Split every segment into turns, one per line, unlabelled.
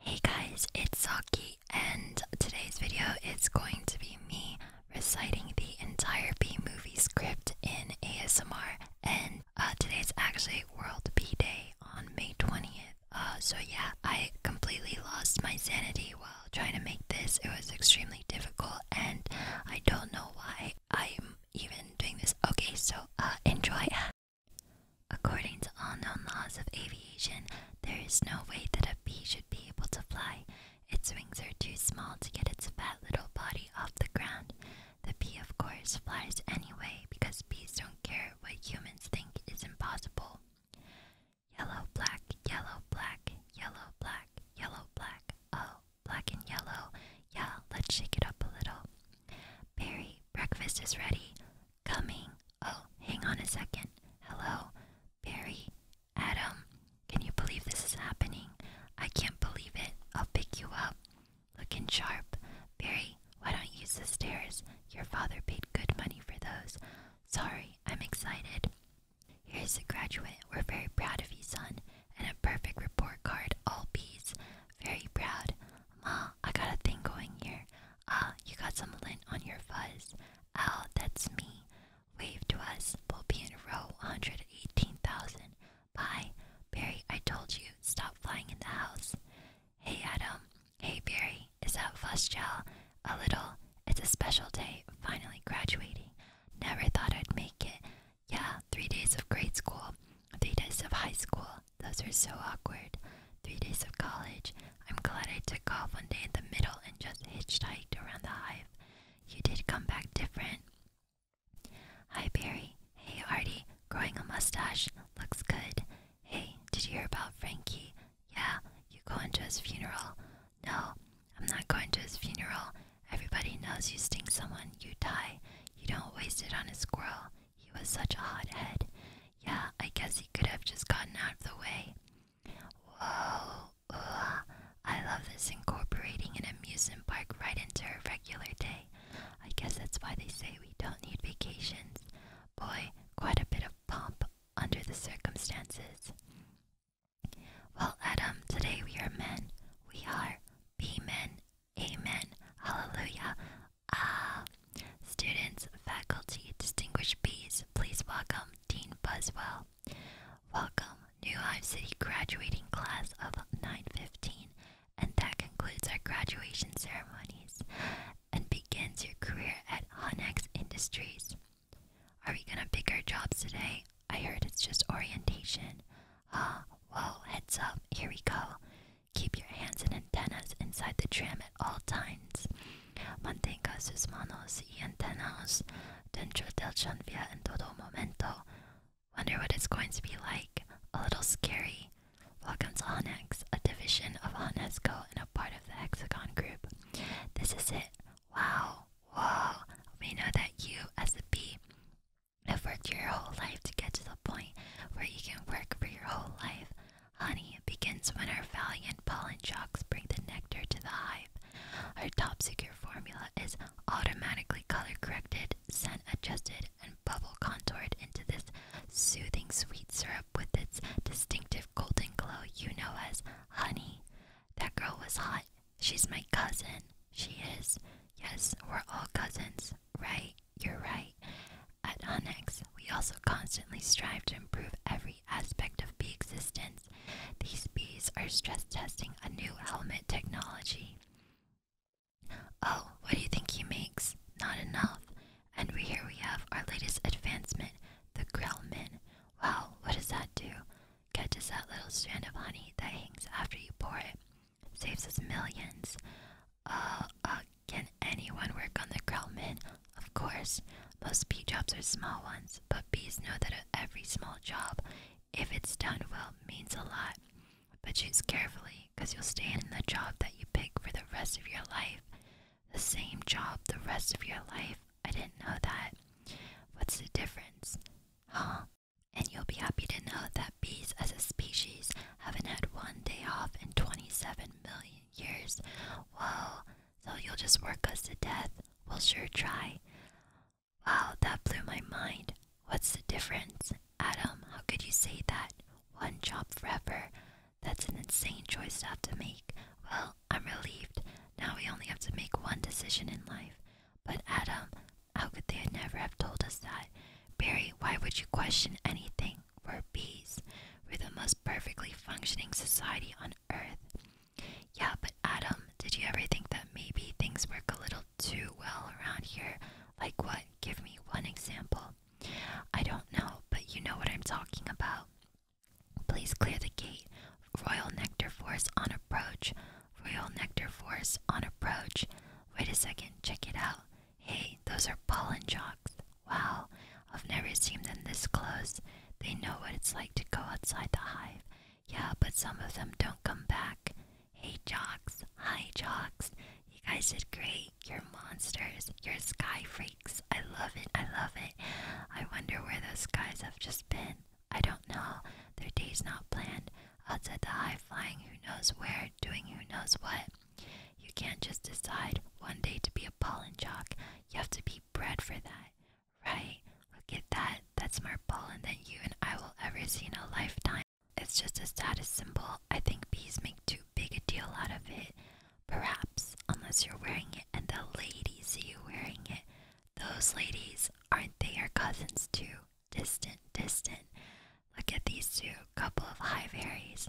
Hey guys, it's Saki, and today's video is going to be me reciting the entire B movie script in ASMR. And uh, today is actually World B Day on May 20th. Uh, so, yeah, I completely lost my sanity while trying to make this. It was extremely difficult, and I don't know why I'm even doing this. Okay, so uh, enjoy. According to all known laws of aviation, there is no way that a bee should be able to fly. Its wings are too small to get its fat little body off the ground. The bee, of course, flies anyway because bees don't care what humans think is impossible. Yellow, black, yellow, black, yellow, black, yellow, black, oh, black and yellow. Yeah, let's shake it up a little. Barry, breakfast is ready. Coming. Oh, hang on a second. Hello, Barry, Adam. Can you believe this is happening? I can't believe it. I'll pick you up. Looking sharp. Barry, why don't you use the stairs? Your father paid good money for those. Sorry, I'm excited. Here's a graduate. We're very proud of you, son. And a perfect report card, all B's. Very proud. Ma, I got a thing going here. Ah, you got some lint on your fuzz. Ow, that's me. Wave to us. We'll be in row 118,000. Bye. Barry, I told you, stop flying in the house. Hey, Adam. Hey, Barry. Is that fuzz gel? A little. It's a special day. Finally graduating. Never thought I'd make it. Yeah, three days of grade school, three days of high school, those were so awkward. Three days of college. I'm glad I took off one day in the middle and just hitchhiked around the hive. You did come back different. Hi, Barry. Hey, Artie. Growing a mustache. Looks good. Hey, did you hear about Frankie? Yeah, you going to his funeral? No, I'm not going to his funeral. Everybody knows you sting someone, you die. You don't waste it on a squirrel. He was such a hot head. Yeah, I guess he could have just gotten out of the way. Whoa, I love this incorporating an amusement park right into a regular day. I guess that's why they say we don't need vacations. Boy, quite a bit of pomp under the circumstances. Well, Adam, today we are men. We are be men. Amen. Hallelujah. Ah, students, faculty, distinguished bees, please welcome Dean Buswell. Welcome, New Life City graduating class of 915, and that concludes our graduation ceremonies and begins your career at Honex Industries. Are we gonna pick our jobs today? I heard it's just orientation. Ah, well, heads up, here we go. Keep your hands and antennas inside the tram at all times. Mantenga sus manos y antenas dentro del tranvía en todo momento. Wonder what it's going to be like. A little scary. Welcome to Onex, a division of Onesco and a part of the Hexagon Group. This is it. Wow. Wow. We know that you, as a bee, have worked your whole life to get to the point where you can work for your whole life. Honey begins when our valiant pollen jocks bring the nectar to the hive. Our top secret formula is automatically color corrected, scent adjusted, and bubble contoured into this soothing sweet syrup with its distinctive golden glow you know as honey. That girl was hot. She's my cousin. She is. Yes, we're all cousins. Right? You're right. At Hunex, we also constantly strive to improve every aspect of bee existence. These bees are stress testing a new helmet technology. Oh, what do you think he makes? Not enough. And we, here we have our latest advancement, the Grellman. Wow, what does that do? Catches that little strand of honey that hangs after you pour it. Saves us millions. Uh, uh can anyone work on the Krellman? Of course. Most bee jobs are small ones, but bees know that every small job, if it's done well, means a lot. But choose carefully, because you'll stay in the job that you pick for the rest of your life. The same job the rest of your life? I didn't know that. What's the difference? Huh? And you'll be happy to know that bees as a species haven't had one day off in 27 million years. Whoa, so you'll just work us to death. We'll sure try. Wow, that blew my mind. What's the difference? Adam, how could you say that? One job forever. That's an insane choice to have to make. Well, I'm relieved. Now we only have to make one decision in life. But Adam, how could they never have told us that? Barry, why would you question anything? We're bees. We're the most perfectly functioning society on earth. Yeah, but Adam, did you ever think that maybe things work a little too well around here? Like what? Give me one example. I don't know, but you know what I'm talking about. Please clear the gate. Royal Nectar Force on approach. Royal Nectar Force on approach. Wait a second, check it out. Hey, those are pollen jocks. Wow, I've never seen them this close. They know what it's like to go outside the hive. Yeah, but some of them don't come back. Hey, Jocks. Hi, Jocks. You guys did great. You're monsters. You're sky freaks. I love it. I love it. I wonder where those guys have just been. I don't know. Their day's not planned. Outside the hive, flying who knows where, doing who knows what. You can't just decide one day to be a pollen jock, you have to be bred for that, right? Look at that. That's more pollen than you and I will ever see in a lifetime. It's just a status symbol. I think bees make too big a deal out of it. Perhaps, unless you're wearing it and the ladies see you wearing it. Those ladies, aren't they your cousins too? Distant, distant. Look at these two, couple of high fairies.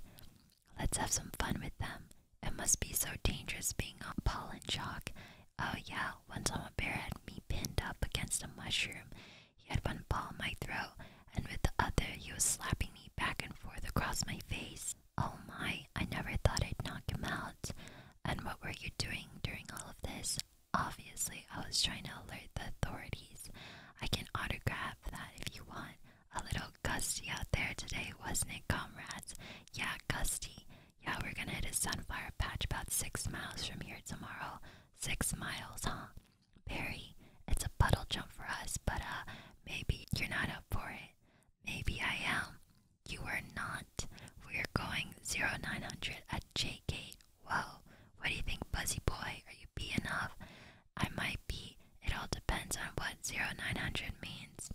Let's have some fun with them. It must be so dangerous being on pollen shock. Oh, yeah, once on a bear had me pinned up against a mushroom. He had one ball on my throat, and with the other, he was slapping me back and forth across my face. Oh my, I never thought I'd knock him out. And what were you doing during all of this? Obviously, I was trying to alert the authorities. I can autograph that if you want. A little gusty out there today, wasn't it, comrades? Yeah, gusty. Yeah, we're gonna hit a sunflower patch about six miles from here tomorrow. Six miles, huh? Barry, it's a puddle jump for us, but uh, maybe you're not up for it. Maybe I am. You are not. We're going 0900 at J Gate. Whoa, what do you think, Buzzy Boy? Are you being off? I might be. It all depends on what 0900 means.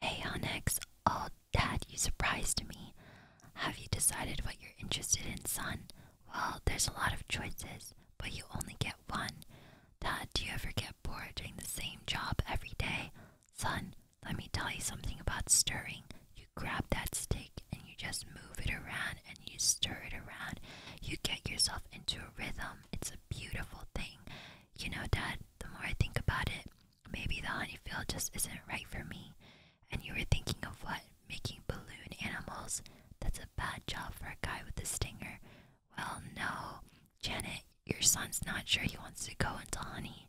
Hey Onyx, oh dad, you surprised me. Have you decided what you're interested in, son? Well, there's a lot of choices, but you only get one. Dad, do you ever get bored doing the same job every day? Son, let me tell you something about stirring. You grab that stick and you just move it around and you stir it around. You get yourself into a rhythm. It's a beautiful thing. You know, Dad, the more I think about it, maybe the honeyfield just isn't right for me. And you were thinking of what? Making balloon animals? That's a bad job for a guy with a stinger. Well, no. Janet, your son's not sure he wants to go into honey.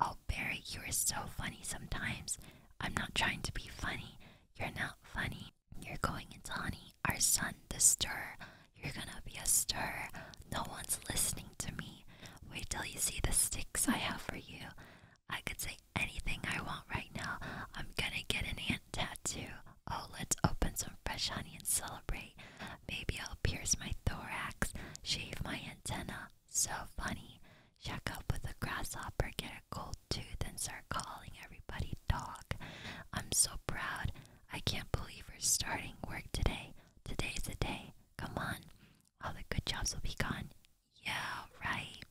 Oh, Barry, you are so funny sometimes. I'm not trying to be funny. You're not funny. You're going into honey. Our son, the stirrer, you're gonna be a stir. No one's listening to me. Wait till you see the sticks I have for you. I could say anything I want right now. I'm gonna get an ant tattoo. Oh, let's open some fresh honey and celebrate. Maybe I'll pierce my thorax, shave my antenna. So funny. Check up with a grasshopper, get a gold tooth, and start calling everybody dog. I'm so proud. I can't believe we're starting work today. Today's the day. Come on. All the good jobs will be gone. Yeah, right.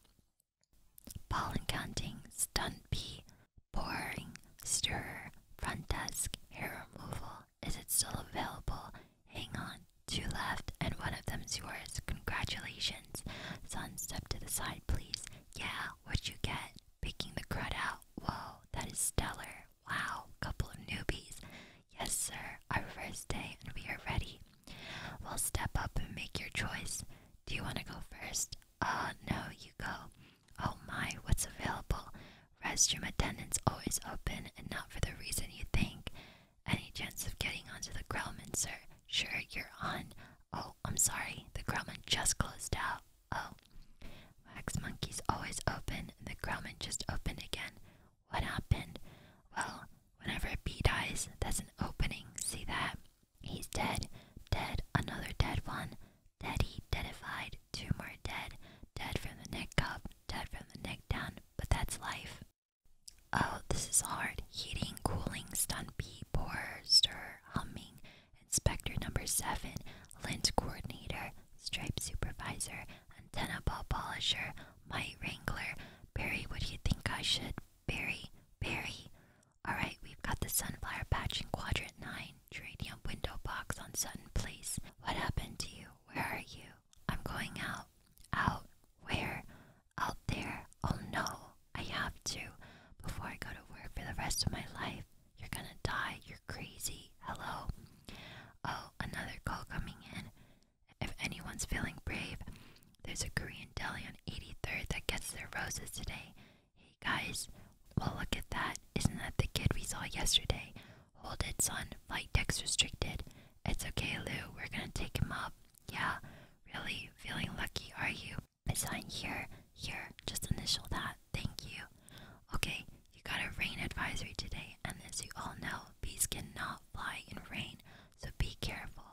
Pollen counting, stun pea, pouring, stirrer, front desk, hair removal. Is it still available? Hang on. Two left, and one of them's yours. Congratulations. Son, step to the side, please. Yeah, what you get? Picking the crud out. Whoa, that is stellar. Wow, couple of newbies. Yes, sir, our first day and we are ready. Well, step up and make your choice. Do you want to go first? Uh, no, you go. Oh my, what's available? Restroom attendants always open and not for the reason you think. Any chance of getting onto the Grellman, sir? Sure, you're on. Oh, I'm sorry, the Grellman just closed out. Oh, Wax Monkey's always open, the growman just opened again. What happened? Well, whenever a bee dies, there's an opening. See that? He's dead. Dead. Another dead one. Deady. Deadified. Two more dead. Dead from the neck up. Dead from the neck down. But that's life. Oh, this is hard. Heating, cooling, stun bee, pour, stir, humming. Inspector number seven lint coordinator, stripe supervisor, antenna ball polisher, mite wrangler. Barry, what do you think I should? Barry, Barry. Alright, we've got the sunflower patch in quadrant 9, geranium window box on Sutton Place. What happened to you? Where are you? I'm going out. Out? Where? Out there. Oh no, I have to. Before I go to work for the rest of my life, you're gonna die crazy. Hello. Oh, another call coming in. If anyone's feeling brave, there's a Korean deli on 83rd that gets their roses today. Hey guys, well, look at that. Isn't that the kid we saw yesterday? Hold it, son. Flight deck's restricted. It's okay, Lou. We're gonna take him up. Yeah, really? Feeling lucky, are you? It's on here. Here, just initial that. Thank you. Okay, you got a rain advisory today, and as you all know, bees cannot fly in rain, so be careful.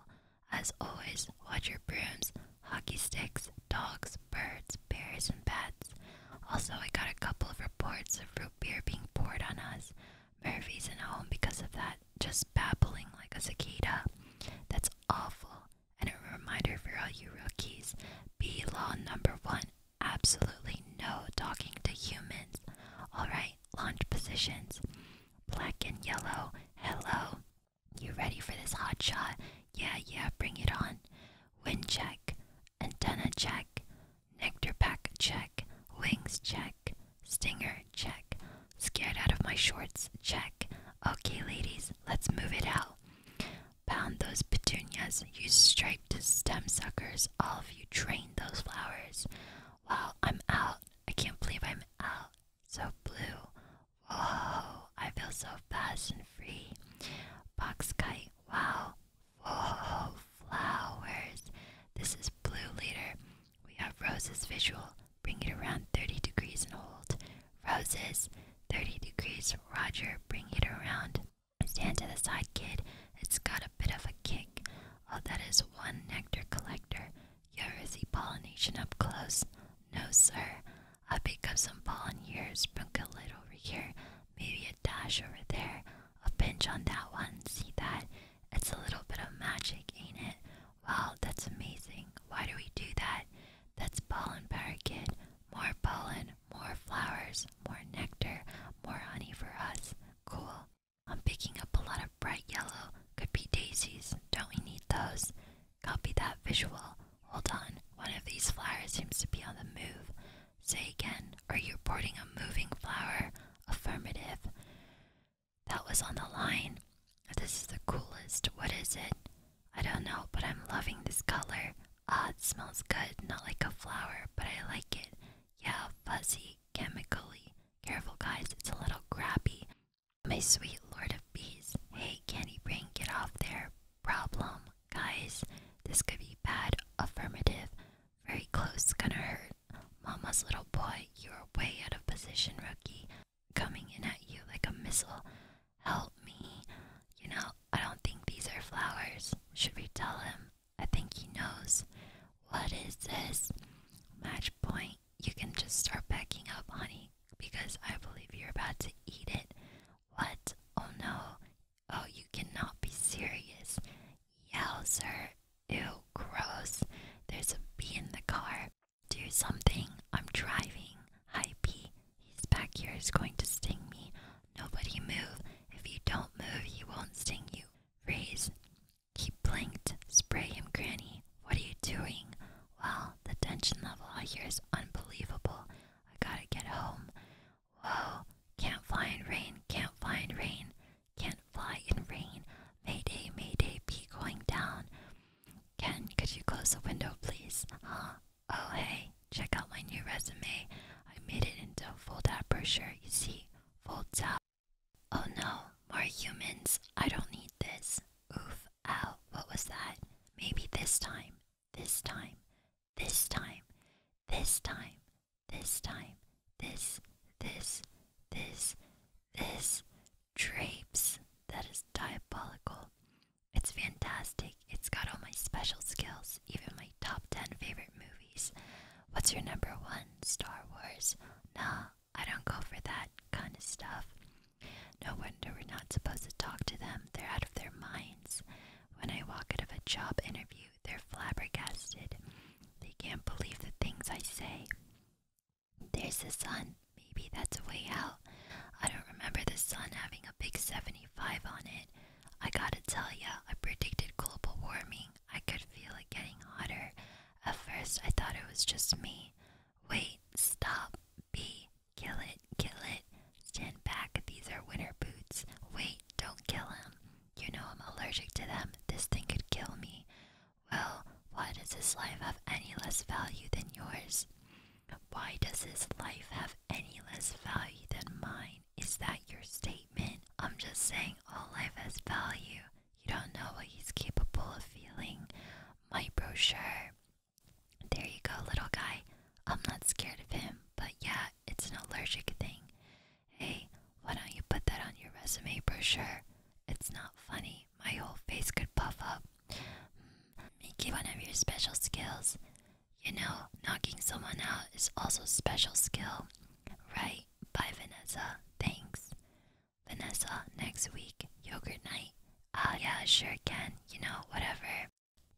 As always, watch your brooms, hockey sticks, dogs, birds, bears, and bats. Also, I got a couple of reports of root beer being poured on us. Murphy's in home because of that, just babbling like a cicada. That's awful. And a reminder for all you rookies be law number one Absolutely no talking to humans. Alright, launch positions. Black and yellow, hello. You ready for this hot shot? Yeah, yeah, bring it on. Wind check, antenna check, nectar pack check, wings check, stinger check, scared out of my shorts check. Okay, ladies, let's move it out. Pound those petunias, you striped stem suckers, all of you drain those flowers. Well, I'm out. I can't believe I'm out. So blue. Whoa, I feel so fast and free. Box kite, wow. Whoa, flowers. This is blue leader. We have roses visual. Bring it around 30 degrees and hold. Roses, 30 degrees. Roger, bring it around Stand to the side, kid. It's got a bit of a kick. Oh, that is one nectar collector. Here is see pollination up close. No, sir. I pick up some pollen here, sprinkle it over here, maybe a dash over there, a pinch on that one. See that? It's a little bit of magic, ain't it? Well, that's amazing. Why do we do that? That's pollen power, kid. More pollen more flowers, more nectar, more honey for us. Cool. I'm picking up a lot of bright yellow. Could be daisies. Don't we need those? Copy that visual. Hold on. One of these flowers seems to be on the move. Say again. Are you boarding a moving flower? Affirmative. That was on the line. This is the coolest. What is it? I don't know, but I'm loving this color. Ah, oh, it smells good, not like a flower, but I like it. Yeah, fuzzy, chemically. Careful, guys, it's a little grabby. My sweet lord of bees. Hey, canny brain, get off there. Problem, guys. This could be bad. Affirmative. Very close, gonna hurt. Mama's little boy, you are way out of position, rookie. Coming in at you like a missile. Help me. You know, I don't think these are flowers. Should we tell him? I think he knows. What is this? Match point. You can just start packing up, honey, because I believe you're about to eat it. What? Oh no. Oh, you cannot be serious. Yell, sir! Ew, gross. There's a bee in the car. Do something. I'm driving. Hi, bee. He's back here. He's going to sting me. Nobody move. If you don't move, he won't sting you. Freeze. He blinked. Spray him, Granny. What are you doing? Well, the tension level out here is unbelievable. I gotta get home. Whoa. Can't fly in rain. Can't fly in rain. Can't fly in rain. Mayday, mayday, be going down. Ken, could you close the window, please? Huh? Oh, hey. Check out my new resume. I made it into a fold out brochure. You see, folds out. Oh no, more humans. I don't need this. Oof, ow, what was that? Maybe this time, this time, this time, this time, this time, this, this, this, this. Drapes. That is diabolical. It's fantastic. It's got all my special skills, even my top 10 favorite movies. What's your number one? Star Wars. Nah, I don't go for that kind of stuff. No wonder we're not supposed to talk to them. They're out of their minds. When I walk out of a job interview, they're flabbergasted. They can't believe the things I say. There's the sun. Maybe that's a way out. I don't remember the sun having a big 75 on it. I gotta tell ya, I predicted global warming. I could feel it getting hotter. At first, I thought it was just me. Wait, stop. B. Kill it, kill it. Stand back, these are winter boots. Wait, don't kill him. You know I'm allergic to them. This thing could kill me. Well, why does this life have any less value than yours? Why does this life have any less value than mine? Is that your statement? I'm just saying all life has value. You don't know what he's capable of feeling. My brochure. There you go, little guy. I'm not scared of him, but yeah, it's an allergic thing. Hey, why don't you put that on your resume brochure? It's not funny. My whole face could puff up. Hmm, make it one of your special skills. You know, knocking someone out is also special skill. Right? Bye, Vanessa. Thanks. Vanessa, next week, yogurt night. Ah, yeah, sure can. You know, whatever.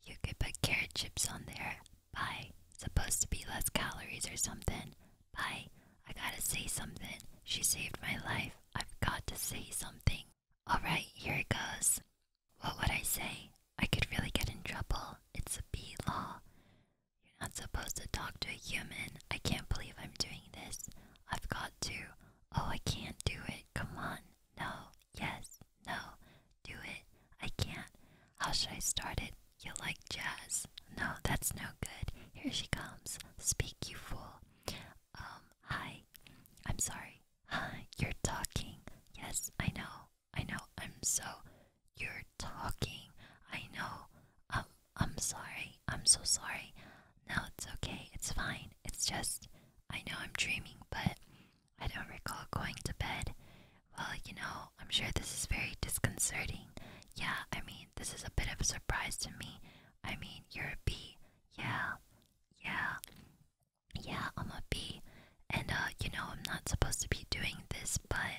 You could put carrot chips on there. Bye. Supposed to be less calories or something. Bye. I gotta say something. She saved my life. I've got to say something. Alright, here it goes. What would I say? I could really get in trouble. It's a bee law. You're not supposed to talk to a human. I can't believe I'm doing this. I've got to. Oh, I can't do it. Come on. No. Yes. No. Do it. I can't. How should I start it? You like jazz. No, that's no good. Here she comes. Speak, you fool. Um, hi. I'm sorry. Hi. You're talking. Yes, I know. I know, I'm so. You're talking. I know. Um, I'm sorry. I'm so sorry. Now it's okay. It's fine. It's just, I know I'm dreaming, but I don't recall going to bed. Well, you know, I'm sure this is very disconcerting. Yeah, I mean, this is a bit of a surprise to me. I mean, you're a bee. Yeah, yeah, yeah, I'm a bee. And uh, you know, I'm not supposed to be doing this, but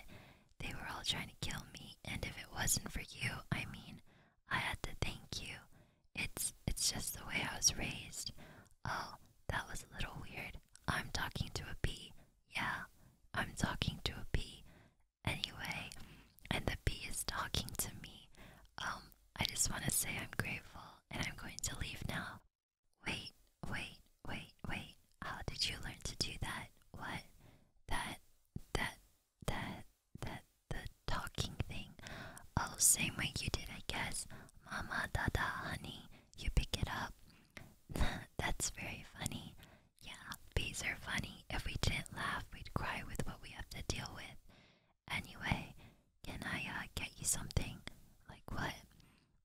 they were all trying to kill me. And if it wasn't for you, I mean, I had to thank you. It's it's just the way I was raised. Oh, that was a little weird. I'm talking to a bee. Yeah, I'm talking to a bee. Anyway, and the bee is talking to me. Um, I just want to say I'm grateful and I'm going to leave now. Wait, wait, wait, wait. How did you learn to do that? What? That, that, that, that, the talking thing. Oh, same way you did, I guess. Mama, dada, honey. You pick it up. That's very funny. Yeah, bees are funny. If we didn't laugh, we'd cry with what we have to deal with. Anyway, can I uh, get you something? Like what?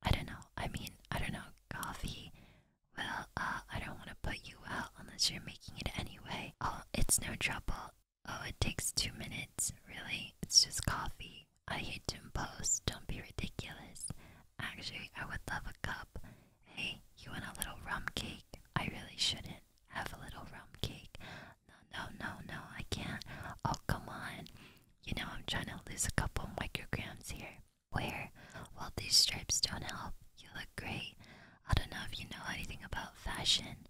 I don't know. I mean, I don't know. Coffee, well, uh, I don't want to put you out unless you're making it anyway. Oh, it's no trouble. Oh, it takes two minutes, really? It's just coffee. I hate to impose, don't be ridiculous. Actually, I would love a cup. Hey, you want a little rum cake? I really shouldn't have a little rum cake. No, no, no, no, I can't. Oh, come on. You know, I'm trying to lose a couple micrograms here where, Well, these stripes don't help, you look great. I don't know if you know anything about fashion.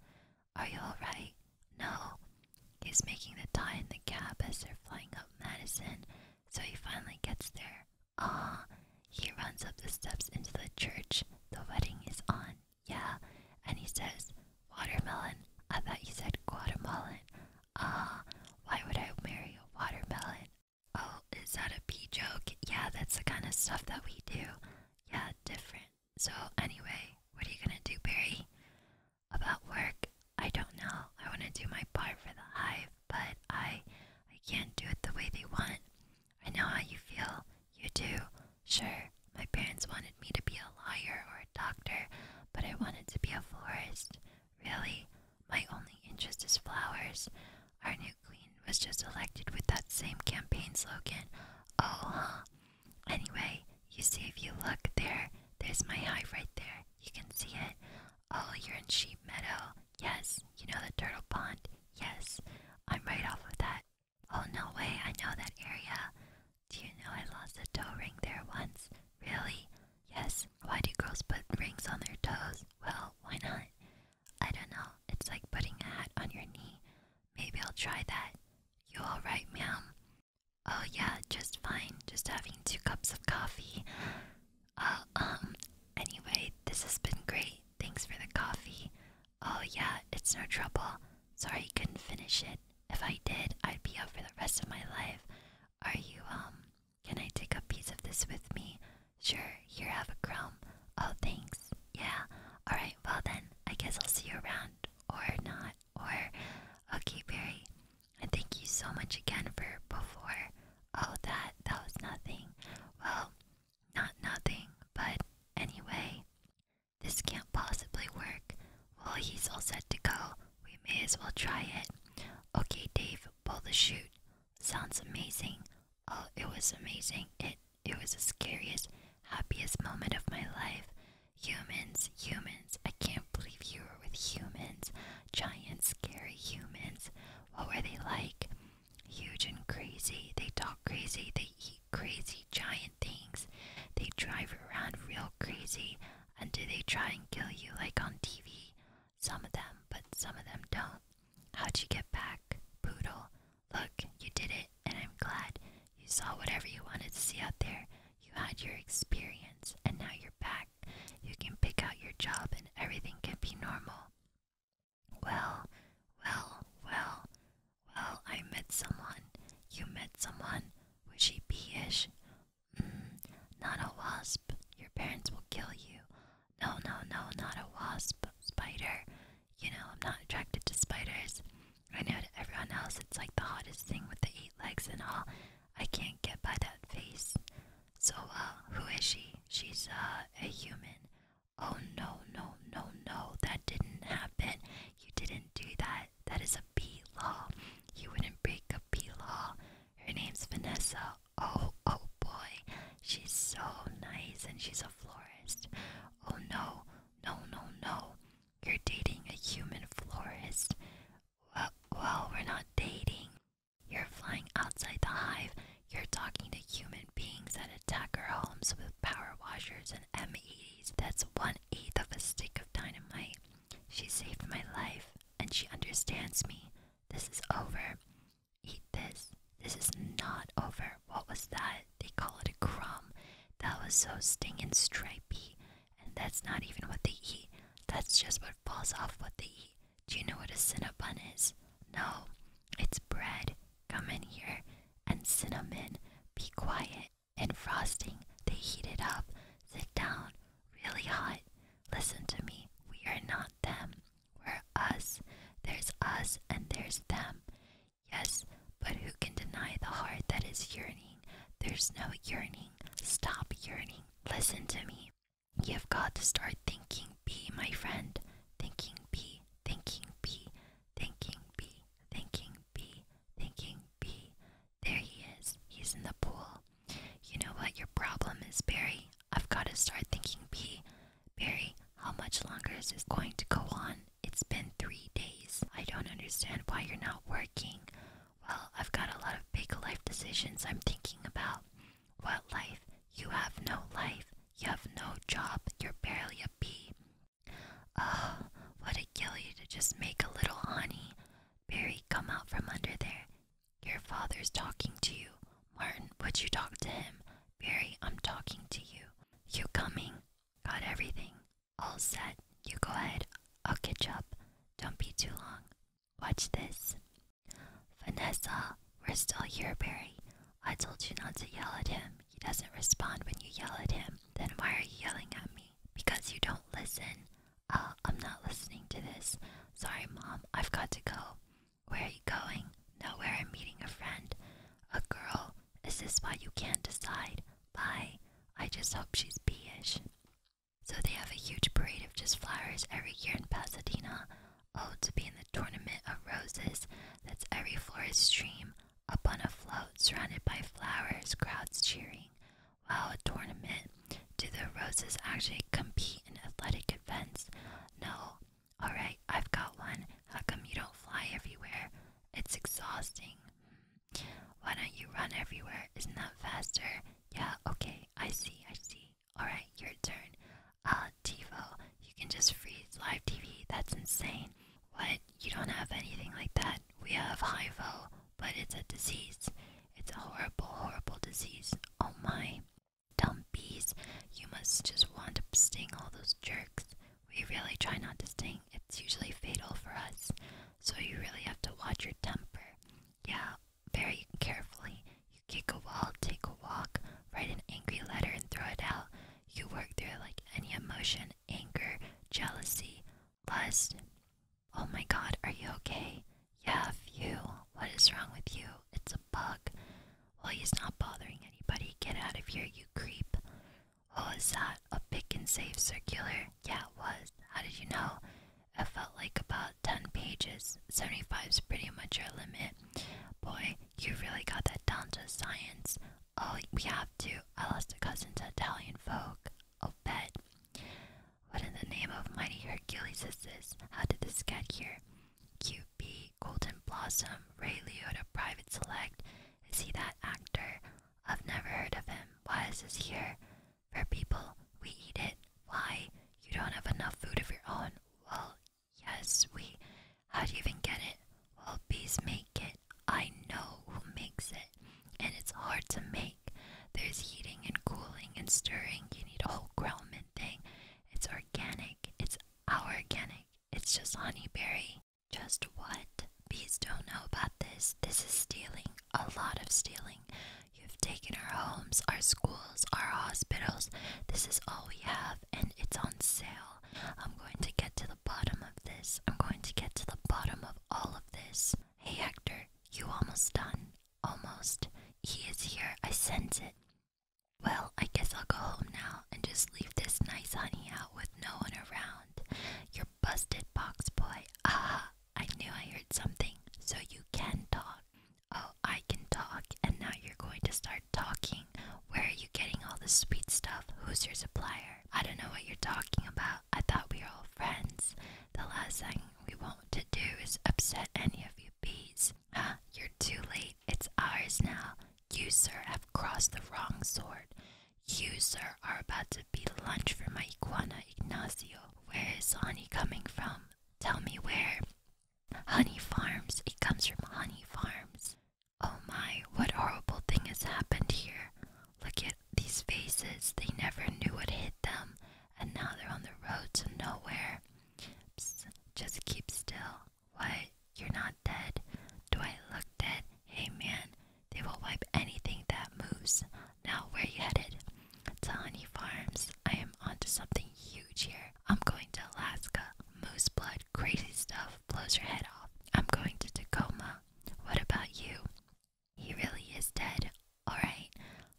Are you alright? No. He's making the tie in the cap as they're flying up Madison, so he finally gets there. Ah, he runs up the steps into the church. The wedding is on, yeah, and he says, Watermelon. I thought you said Guatemalan. Ah, why would I marry a watermelon? Oh, is that a pee joke? Yeah, that's the kind of stuff that we do. Yeah, different. So, anyway, what are you gonna do, Barry? About work? I don't know. I wanna do my part for the hive, but I I can't do it the way they want. I know how you feel. You do. Sure, my parents wanted me to be a lawyer or a doctor, but I wanted to be a florist. Really, my only interest is flowers. Our new queen was just elected with that same campaign slogan. Oh, huh? Anyway, you see, if you look there, there's my hive right there. You can see it. Oh, you're in Sheep Meadow. Yes. You know the turtle pond? Yes. I'm right off of that. Oh, no way. I know that area. Do you know I lost a toe ring there once? Really? Yes, why do girls put rings on their toes? Well, why not? I don't know. It's like putting a hat on your knee. Maybe I'll try that. You alright, ma'am? Oh, yeah, just fine. Just having two cups of coffee. Uh, um, anyway, this has been great. Thanks for the coffee. Oh, yeah, it's no trouble. Sorry I couldn't finish it. If I did, I'd be up for the rest of my life. Are you, um, can I take a piece of this with me? Sure, here, have a crumb. Oh, thanks. Yeah, alright, well then, I guess I'll see you around. Or not. Or, okay, Barry. And thank you so much again for before. Oh, that, that was nothing. Well, not nothing, but anyway. This can't possibly work. Well, he's all set to go. We may as well try it. Okay, Dave, pull the chute. Sounds amazing. Oh, it was amazing. It it was the scariest, happiest moment of my life. Humans, humans. I can't believe you were with humans. Giant, scary humans. What were they like? Huge and crazy. They talk crazy. They eat crazy giant things. They drive around real crazy. And do they try and kill you like on TV? Some of them, but some of them don't. How'd you get back, Poodle? Look, you did it, and I'm glad. You saw whatever you wanted to see out there. You had your experience, and now you're back. You can pick out your job, and everything can be normal. Well, well, well, well, I met someone. You met someone. Was she B ish? Not a wasp. Your parents will kill you. No, no, no, not a wasp. Spider. You know, I'm not attracted to spiders. I know to everyone else it's like the hottest thing with the eight legs and all. I can't get by that face. So, uh, who is she? She's, uh, a human. Oh, no, no, no, no. That didn't happen. You didn't do that. That is a bee law. You wouldn't break a bee law. Her name's Vanessa. Oh, oh boy, she's so nice and she's a florist. Oh no, no, no, no. You're dating a human florist. Well, well, we're not dating. You're flying outside the hive. You're talking to human beings that attack our homes with power washers and M80s. That's one eighth of a stick of dynamite. She saved my life and she understands me. This is over. Eat this. This is not over. What was that? They call it a crumb. That was so stinging stripy. And that's not even what they eat. That's just what falls off what they eat. Do you know what a cinnamon bun is? No. It's bread. Come in here. And cinnamon. Be quiet. And frosting. They heat it up. Sit down. Really hot. Listen to me. We are not them. We're us. There's us and there's them. Yes, but who can deny the heart that is yearning? There's no yearning. Stop yearning. Listen to me. You've got to start thinking be my friend. Thinking be, thinking be, thinking be, thinking be, thinking be. There he is. He's in the pool. You know what your problem is, Barry? I've got to start thinking Bee, Barry, how much longer is this going to go on? It's been three days. I don't understand why you're not working. Well, I've got a lot of big life decisions I'm thinking about. What life? You have no life. You have no job. You're barely a bee. Oh, what a gilly to just make a little honey. Barry, come out from under there. Your father's talking to you. Martin, would you talk to him? Barry, I'm talking to you. You coming? Got everything. All set. You go ahead. I'll catch up. Don't be too long. Watch this. Vanessa, we're still here, Barry. I told you not to yell at him. He doesn't respond when you yell at him. Then why are you yelling at me? Because you don't listen. Uh, I'm not listening to this. Sorry, Mom. I've got to go. Where are you going? Nowhere, I'm meeting a friend. A girl? Is this why you can't decide? Bye. I just hope she's bee So they have a huge parade of just flowers every year in Pasadena. Oh, to be in the tournament of roses. That's every florist's dream. Up on a float, surrounded by flowers, crowds cheering. Wow, a tournament. Do the roses actually compete in athletic events? No. Alright, I've got one. How come you don't fly everywhere? It's exhausting. Why don't you run everywhere? Isn't that faster? Yeah, okay, I see, I see. Alright, your turn. Ah, uh, TiVo, you can just freeze live TV. That's insane. What? You don't have anything like that. We have HIVO, but it's a disease. It's a horrible, horrible disease. Oh my. Dumpies, you must just want to sting all those jerks. We really try not to sting, it's usually fatal for us. So you really have to watch your temper. Yeah, very carefully. You kick a wall, take a walk, write an angry letter and throw it out. You work through like any emotion, anger, jealousy, lust. Oh my god, are you okay? Yeah, you. What is wrong with you? It's a bug. Well, he's not bothering anybody. Get out of here, you creep. Oh, was that? A pick and save circular? Yeah, it was. How did you know? It felt like about 10 pages. 75's pretty much your limit. Boy, you really got that down to science. Oh, we have to. I lost a cousin to Italian folk. I'll oh, bet. What in the name of mighty Hercules is this? How did this get here? QB, Golden Blossom, Ray Liotta, Private Select. Is he that actor? I've never heard of him. Why is he here? For people, we eat it. Why? You don't have enough food of your own. Well, yes, we. How do you even get it? Well, bees make it. I know who makes it. And it's hard to make. There's heating and cooling and stirring. You need a whole growlman thing. It's organic. It's our organic. It's just honeyberry. Just what? Bees don't know about this. This is stealing. A lot of stealing. You've taken our homes, our schools, our hospitals. This is all we have, and it's on sale. I'm going to get to the bottom of this. I'm going to get to the bottom of all of this. Hey, Hector, you almost done. Almost. He is here. I sense it. Well, I guess I'll go home now and just leave this nice honey out with no one around. You're busted, box boy. Ah, I knew I heard something. So you can talk. Oh, I can talk, and now you're going to start talking. Where are you getting all this sweet stuff? Who's your supplier? I don't know what you're talking about. I thought we were all friends. The last thing we want to do is upset any of your bees says, You're too late. It's ours now. You, sir, have crossed the wrong sword. You, sir, are about to be lunch for my iguana, Ignacio. Where is honey coming from? Tell me where. Honey Farms. It comes from Honey Farms. Oh my, what horrible thing has happened here. Look at these faces. They never knew what hit them, and now they're on the road to nowhere. Psst, just keep still. What? You're not dead? Do I look dead? Hey man, they will wipe anything that moves. Now where you headed? To Honey Farms. I am onto something huge here. I'm going to Alaska. Moose blood, crazy stuff, blows your head off. I'm going to Tacoma. What about you? He really is dead. Alright.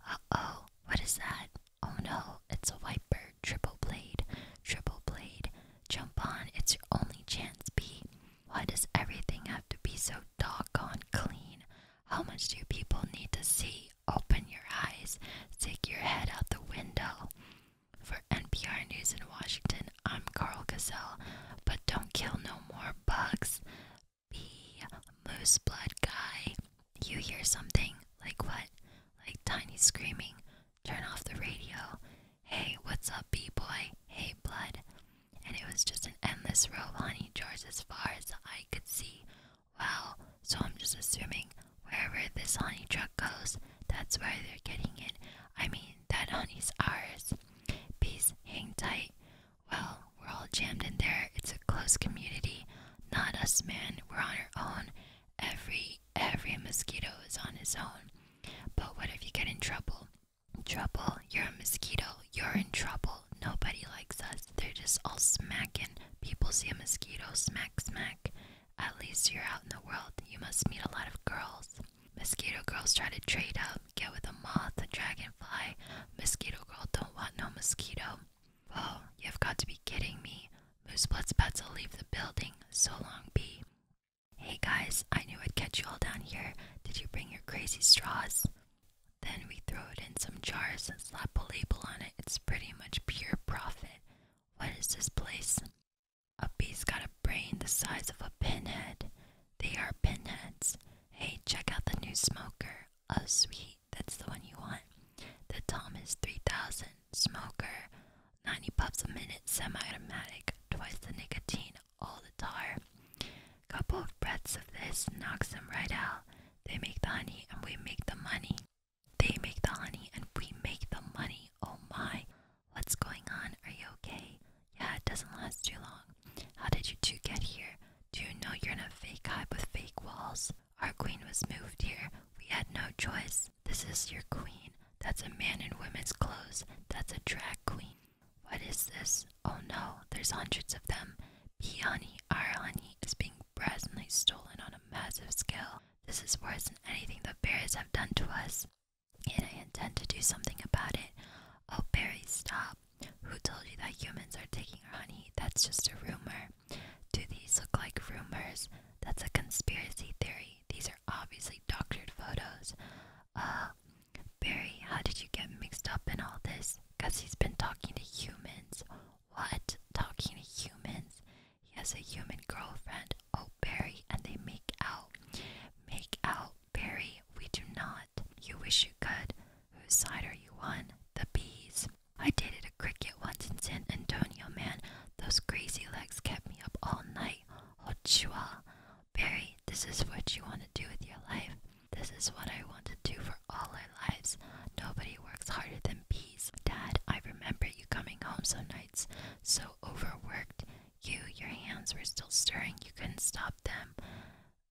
Uh oh, what is that? Oh no, it's a wiper, triple blade, triple blade. Jump on, it's your only chance, B. Why does everything have to be so doggone clean? How much do people need to see? Open your eyes, stick your head out the window. For NPR News in Washington, I'm Carl Gazelle, but don't kill no more bugs. B. Moose Blood Guy you hear something, like what? Like Tiny screaming, turn off the radio, hey, what's up, B boy, hey, blood. And it was just an endless row of honey jars as far as I could see. Well, so I'm just assuming wherever this honey truck goes, that's where they're getting it. I mean, that honey's ours. Peace, hang tight. Well, we're all jammed in there. It's a close community. Not us, man. We're on our own. Every every mosquito is on his own. But what if you get in trouble? Trouble, you're a mosquito, you're in trouble. Nobody likes us. They're just all smacking. People see a mosquito, smack, smack. At least you're out in the world. You must meet a lot of girls. Mosquito girls try to trade up, get with a moth, a dragonfly. Mosquito girl don't want no mosquito. Oh, you've got to be kidding me. Moosebloods Pets'll leave the building. So long, B. Hey guys, I knew I'd catch you all down here. Did you bring your crazy straws? Then we throw it in some jars and slap a label on it. It's pretty much pure profit. What is this place? A bee's got a brain the size of a pinhead. They are pinheads. Hey, check out the new smoker. A sweet that's the one you want. The Thomas 3000 smoker, 90 puffs a minute, semi-automatic, twice the nicotine, all the tar. Couple of breaths of this knocks them right out. They make the honey and we make the money. They make the honey and we make the money. Oh my. What's going on? Are you okay? Yeah, it doesn't last too long. How did you two get here? Do you know you're in a fake hive with fake walls? Our queen was moved here. We had no choice. This is your queen. That's a man in women's clothes. That's a drag queen. What is this? Oh no, there's hundreds of them. Bee honey, our honey, is being brazenly stolen on a massive scale. This is worse than anything the bears have done to us. And I intend to do something about it. Oh, Barry, stop. Who told you that humans are taking our honey? That's just a rumor. Do these look like rumors? That's a conspiracy theory. These are obviously doctored photos. Uh, Barry, how did you get mixed up in all this? Because he's been talking to humans. What? Talking to humans? He has a human girlfriend. Oh, Barry, and they make out. Make out, Barry. We do not. You wish you could. Whose side are you on? The bees. I dated a cricket once in San Antonio, man. Those crazy legs kept me up all night. Oh, chua. Barry, this is what you want to do with your life. This is what I want to do for all our lives. Nobody works harder than bees. Dad, I remember you coming home some nights so overworked. You, your hands were still stirring. You couldn't stop them.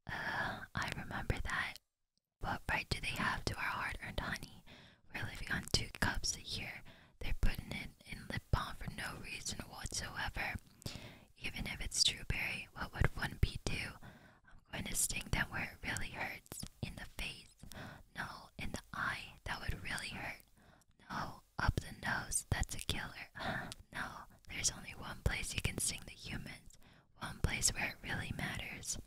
Uh, I remember that. What right do they have to our hard earned honey? We're living on two cups a year. They're putting it in lip balm for no reason whatsoever. Even if it's true, Trueberry, what would one bee do? I'm going to sting them where it really hurts. In the face. No, in the eye. That would really hurt. No, up the nose. That's a killer. no, there's only one place you can sting the humans. One place where it really matters.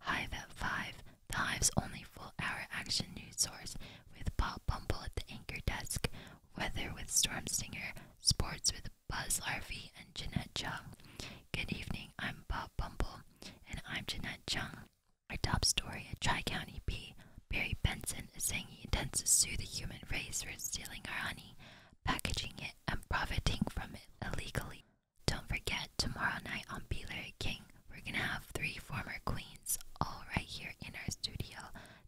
Hive at 5, the Hive's only full hour action news source, with Bob Bumble at the anchor desk, weather with Storm Stinger, sports with Buzz Larvey and Jeanette Chung. Good evening, I'm Bob Bumble, and I'm Jeanette Chung. Our top story at Tri County P. Barry Benson is saying he intends to sue the human race for stealing our honey, packaging it, and profiting from it illegally. Don't forget, tomorrow night on Be Larry King, we're gonna have three former queens all right here in our studio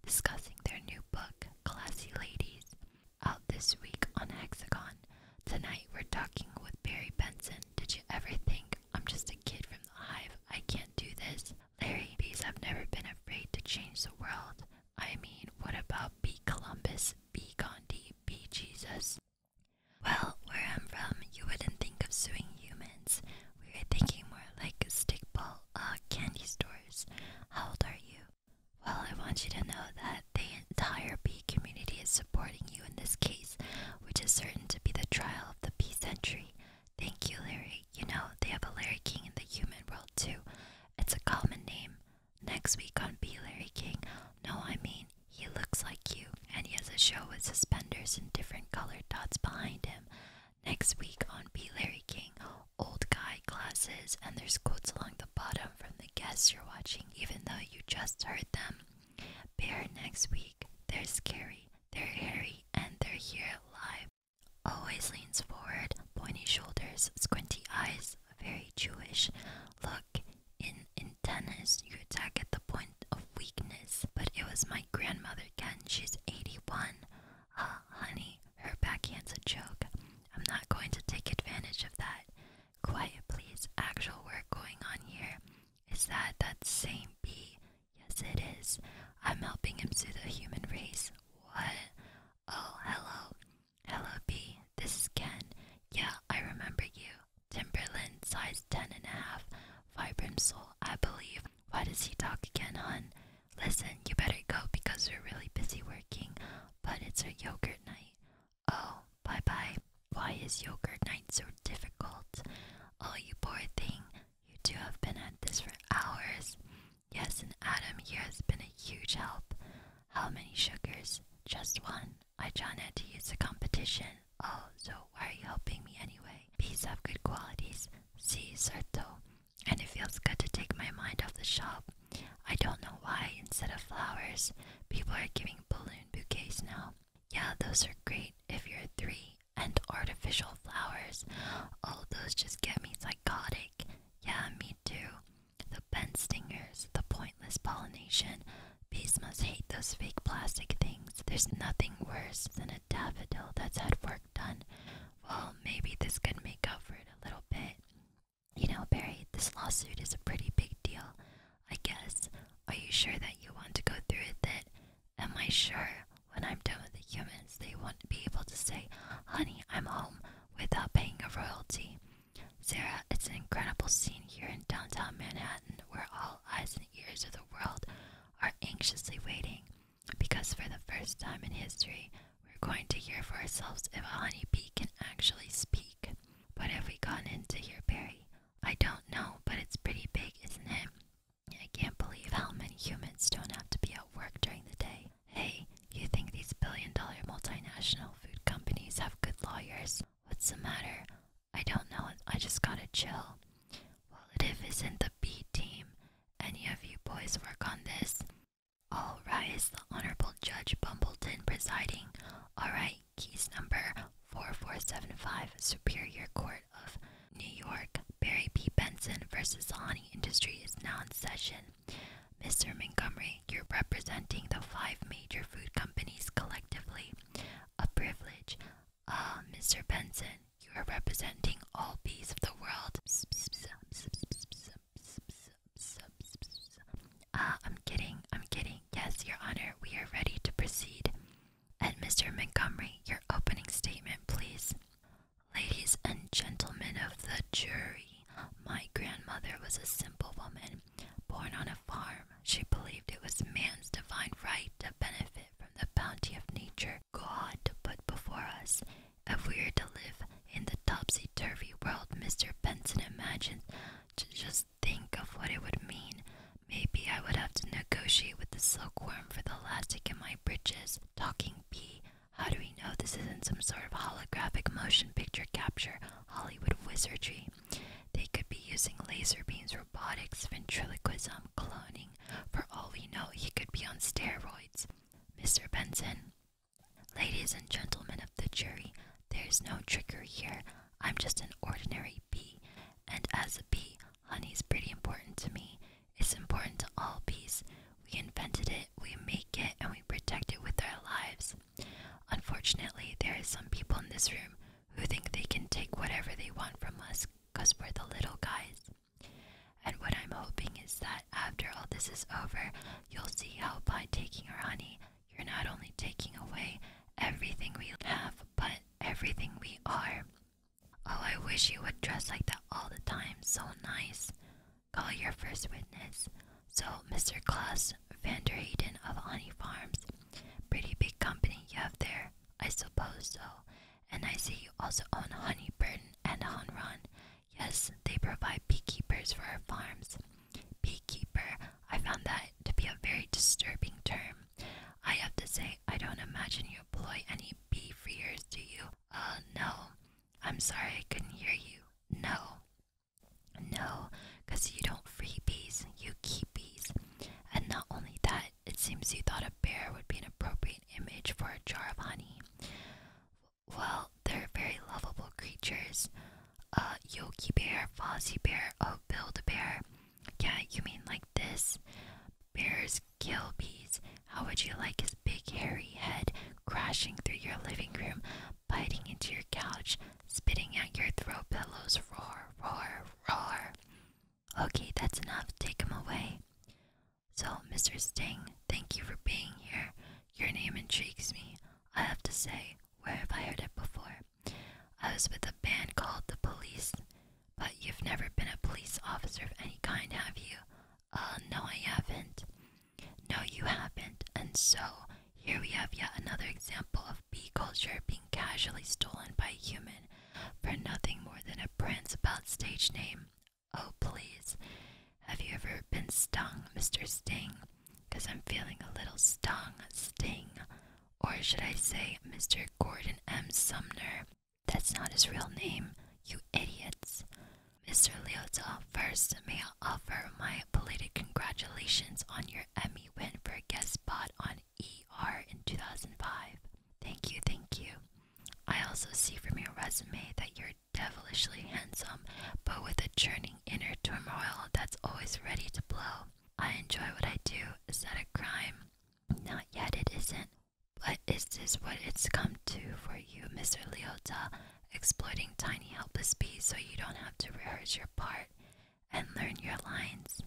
discussing their new book, Classy Ladies, out this week on Hexagon. Tonight we're talking with Barry Benson. Did you ever think I'm just a kid from the hive? I can't do this. Larry, bees have never been afraid to change the world. I mean, what about B. Columbus, B. Gandhi, B. Jesus? Well, where I'm from, you wouldn't think of suing humans. We were thinking more like stickball uh, candy stores. How old are you? Well, I want you to know that the entire bee community is supporting you in this case, which is certain to be the trial of the bee century. Thank you, Larry. You know, they have a Larry King in the human world, too. It's a common name. Next week on Bee Larry King. No, I mean, he looks like you, and he has a show with suspenders and different colored dots behind him. Next week on Be Larry King, old guy glasses, and there's quotes along the bottom from the guests you're watching, even though you just heard them. Bear next week. They're scary, they're hairy, and they're here live. Always leans forward, pointy shoulders, squinty eyes, very Jewish. Look, in in tennis, you attack at the point of weakness. But it was my grandmother Ken. She's 81. Ah, honey, her backhand's a joke. I'm not going to take advantage of that. Quiet, please. Actual work going on here. Is that that same bee? Yes, it is. I'm helping him sue the human race. What? Oh, hello. Hello, bee. This is Ken. Yeah, I remember you. Timberland, size ten and a half. Vibram soul, I believe. Why does he talk again, hun? Listen, you better go because we're really busy working. But it's our yogurt night. Oh, bye bye. Why is yogurt night so difficult? Oh, you poor thing. You two have been at this for hours. Yes, and Adam here has been a huge help. How many sugars? Just one. I John had to use the competition. Oh, so why are you helping me anyway? Bees have good qualities. Si, certo. And it feels good to take my mind off the shop. I don't know why, instead of flowers, people are giving balloon bouquets now. Yeah, those are great if you're three. And artificial flowers. All those just get me psychotic. Yeah, me too. The bent stingers, the pointless pollination, Bees must hate those fake plastic things. There's nothing worse than a daffodil that's had work done. Well, maybe this could make up for it a little bit. You know, Barry, this lawsuit is a pretty big deal, I guess. Are you sure that you want to go through with it? Am I sure when I'm done with the humans, they won't be able to say, honey, I'm home, without paying a royalty? Sarah, it's an incredible scene here in downtown Manhattan where all eyes and ears of the world are anxiously waiting, because for the first time in history, we're going to hear for ourselves if a honeybee can actually speak. What have we gotten into here, Barry? I don't know, but it's pretty big, isn't it? I can't believe how many humans don't have to be at work during the day. Hey, you think these billion dollar multinational food companies have good lawyers? What's the matter? I don't know. I just got a chill. Well, if is not the B team. Any of you boys work on this? All rise. The Honorable Judge Bumbleton presiding. All right. Case number 4475, Superior Court of New York. Barry P. Benson versus the honey industry is now in session. Mr. Montgomery, you're representing the five major food companies collectively. A privilege. Ah, Mr. Benson, you are representing all bees of the world. Ah, I'm kidding, I'm kidding. Yes, Your Honor, we are ready to proceed. And Mr. Montgomery, your opening statement, please. Ladies and gentlemen of the jury, my grandmother was a simple woman born on a farm she believed it was man's divine right to benefit from the bounty of nature God put before us. If we are to live in the topsy turvy world Mr. Benson imagined, to just think of what it would mean. Maybe I would have to negotiate with the silkworm for the elastic in my breeches. Talking bee, how do we know this isn't some sort of holographic motion picture capture Hollywood wizardry? They could be using laser beams, robotics, ventriloquism, cloning. For all we know, he could be on steroids. Mr. Benson, ladies and gentlemen of the jury, there's no trickery here. I'm just an ordinary bee, and as a bee, honey's pretty important to me. It's important to all bees. We invented it, we make it, and we protect it with our lives. Unfortunately, there are some people in this room who think they can take whatever they want from us because we're the little guys. And what I'm hoping is that after all this is over, you'll see how by taking our honey, you're not only taking away everything we have, but everything we are. Oh, I wish you would dress like that all the time, so nice. Call your first witness. So, Mr. Klaus Vanderheyden of Honey Farms. Pretty big company you have there. I suppose so. And I see you also own Honeyburn and Honron. Yes, they provide beekeepers for our farms. Beekeeper, I found that to be a very disturbing term. I have to say, I don't imagine you employ any bee freers, do you? Uh, no. I'm sorry I couldn't hear you. No. No, because you don't free bees, you keep bees. And not only that, it seems you thought a bear would be an appropriate image for a jar of honey. Well, they're very lovable creatures. Uh, Yogi Bear, Fozzie Bear, oh, Build a Bear. Yeah, you mean like this? Bears kill bees. How would you like his big hairy head crashing through your living room, biting into your couch, spitting at your throw pillows? Roar, roar, roar. Okay, that's enough. Take him away. So, Mr. Sting, thank you for being here. Your name intrigues me. I have to say, where have I heard it before? I was with a band called the police, but you've never been a police officer of any kind, have you? Uh, no, I haven't. No, you haven't. And so, here we have yet another example of bee culture being casually stolen by a human for nothing more than a prince about stage name. Oh, please. Have you ever been stung, Mr. Sting? Because I'm feeling a little stung, Sting. Or should I say, Mr. Gordon M. Sumner? That's not his real name, you idiots. Mr. Leotel, first, may I offer my belated congratulations on your Emmy win for a guest spot on ER in 2005. Thank you, thank you. I also see from your resume that you're devilishly handsome, but with a churning inner turmoil that's always ready to blow. I enjoy what I do. Is that a crime? Not yet, it isn't. But is this what it's come to for you, Mr. Leota? Exploiting tiny helpless bees so you don't have to rehearse your part and learn your lines.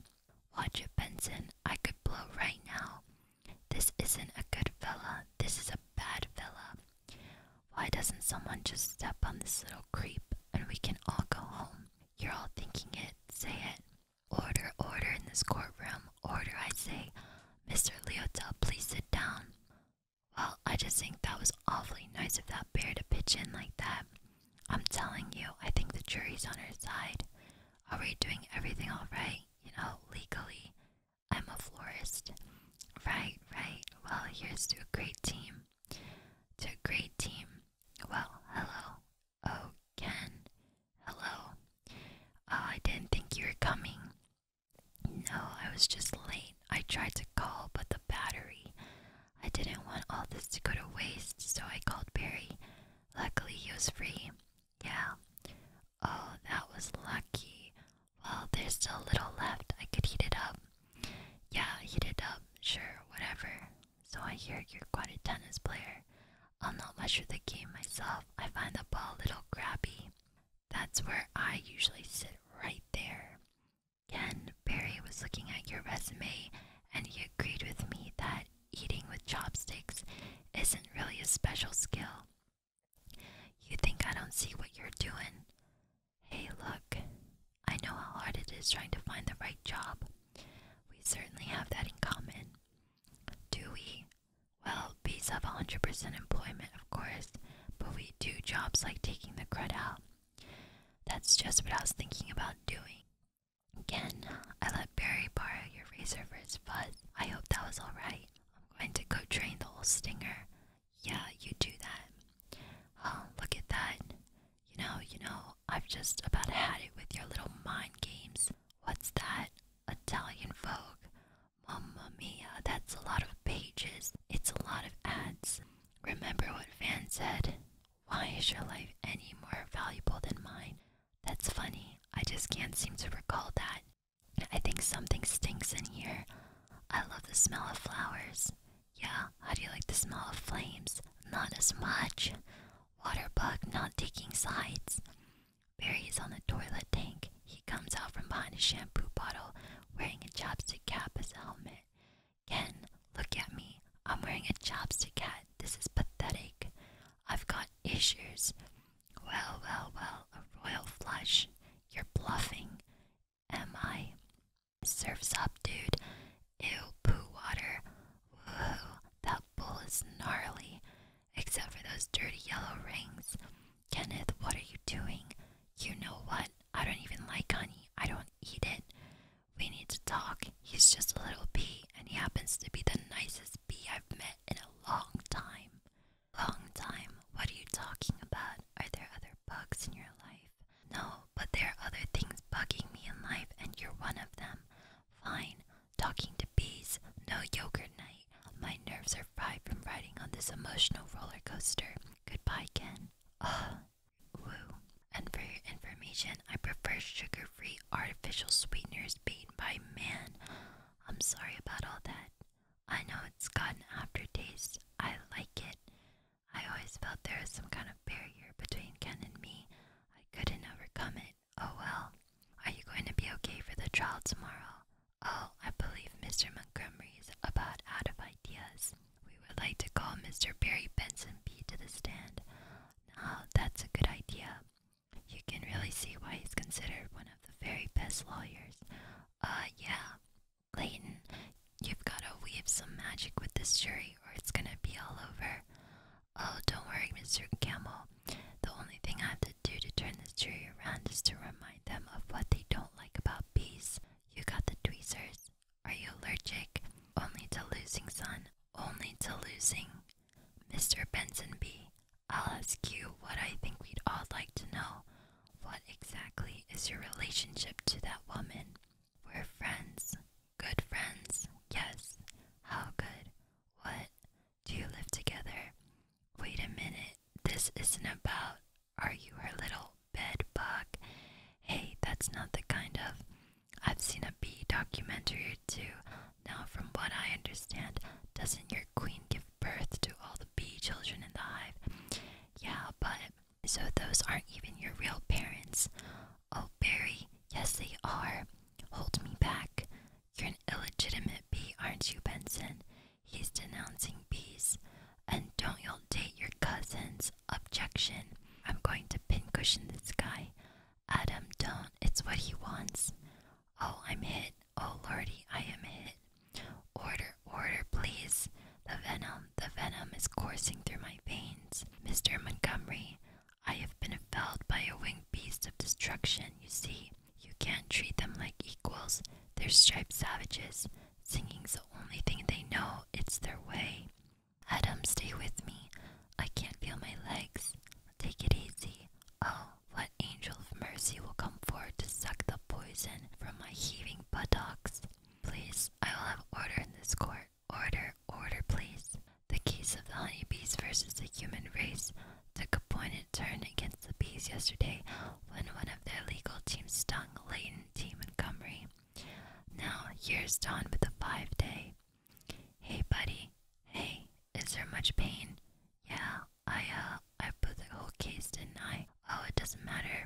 Watch it, Benson. I could blow right now. This isn't a good fella. This is a bad fella. Why doesn't someone just step on this little creep and we can all go home? You're all thinking it. Say it. Order, order in this courtroom. Order, I say. Mr. Leotel, please sit down. Well, I just think that was awfully nice of that bear to pitch in like that. I'm telling you, I think the jury's on her side. Are we doing everything all right? You know, legally. I'm a florist. Right, right. Well, here's to a great team. To a great team. Well, hello. Oh, Ken. Hello. Oh, I didn't think you were coming. No, I was just late. I tried to call, but the battery. I didn't want all this to go to waste, so I called Barry. Luckily, he was free. Yeah. Oh, that was lucky. Well, there's still a little left. I could heat it up. Yeah, heat it up. Sure, whatever. So I hear you're quite a tennis player. I'm not much with the game myself. I find the ball a little grabby. That's where I usually sit right there. Ken Barry was looking at your resume and he agreed with me that eating with chopsticks isn't really a special skill. You think I don't see what you're doing? Hey, look, I know how hard it is trying to find the right job. We certainly have that in common. Do we? Well, bees have 100% employment, of course, but we do jobs like taking the crud out. That's just what I was thinking about doing. Again, I let Barry borrow your razor for his fuzz. I hope that was alright. I'm going to go train the old stinger. Yeah, you do that. Oh, look at that. You know, you know, I've just about had it with your little mind games. What's that? Italian folk? Mamma mia, that's a lot of pages. It's a lot of ads. Remember what Van said. Why is your life any more valuable than mine? That's funny. I just can't seem to recall that. I think something stinks in here. I love the smell of flowers. Yeah, how do you like the smell of flames? Not as much. Water bug not taking sides. Barry's on the toilet tank. He comes out from behind a shampoo bottle wearing a chopstick cap as a helmet. Ken, look at me. I'm wearing a chopstick cap. This is pathetic. I've got issues. Well, well, well, a royal flush. You're bluffing. Am I? Surf's up, dude. Ew, poo water. Whoa, that bull is gnarly. Except for those dirty yellow rings. Kenneth, what are you doing? You know what? I don't even like honey. I don't eat it. We need to talk. He's just a little bee and he happens to be the nicest bee I've met in a long time. Long time? What are you talking about? Are there other bugs in your life? No, but there are other things bugging me in life, and you're one of them. Fine. Talking to bees, no yogurt night. My nerves are fried from riding on this emotional roller coaster. Goodbye, Ken. Ugh. Woo. And for your information, I prefer sugar free artificial sweeteners was by man. I'm sorry about all that. I know it's got an aftertaste. I like it. I always felt there was some kind of barrier between Ken and me. I couldn't overcome it. Oh well. Are you going to be okay for the trial tomorrow? Oh, I believe Mr. Montgomery is about out of ideas. We would like to call Mr. Barry Benson B to the stand. Now, that's a good idea. You can really see why he's considered one of the very best lawyers. Uh, yeah. Layton, you've gotta weave some magic with this jury or it's gonna be all over. Oh, don't worry, Mr. Campbell. The only thing I have to do to turn this jury around is to remind them of what they don't like about bees. You got the tweezers. Are you allergic? Only to losing, son. Only to losing. Mr. Benson, B. will ask you what I think we'd all like to know. What exactly is your relationship to that woman? We're friends. Good friends. Yes. How good? What? Do you live together? Wait a minute. This isn't about. Are you her little bed bug? Hey, that's not the kind of. I've seen a bee documentary or two. Now, from what I understand, doesn't your queen give birth to all the bee children in the hive? Yeah, but so those aren't even your real parents. Oh, Barry, yes, they are. Hold me back. You're an illegitimate bee, aren't you, Benson? He's denouncing bees. And don't you date your cousins. Objection. I'm going to pincushion this guy. Adam, don't. It's what he wants. Oh, I'm hit. Oh, Lordy, I am hit. Order, order, please. The venom, the venom is coursing through my veins. Mr. Montgomery, I have been felled by a winged beast of destruction, you see. You can't treat them like equals. They're striped savages. Singing's the only thing they know. It's their way. Adam, stay with me. I can't feel my legs. Take it easy. Oh, what angel of mercy will come forward to suck the poison from my heaving buttocks? Please, I will have order in this court. Order, order, please. The case of the honeybees versus the human race took a pointed turn against the bees yesterday when one of their legal teams stung Leighton team Montgomery. Now, here's Dawn with a five day. Hey, buddy. Hey, is there much pain? Yeah, I, uh, I put the whole case, tonight. Oh, it doesn't matter.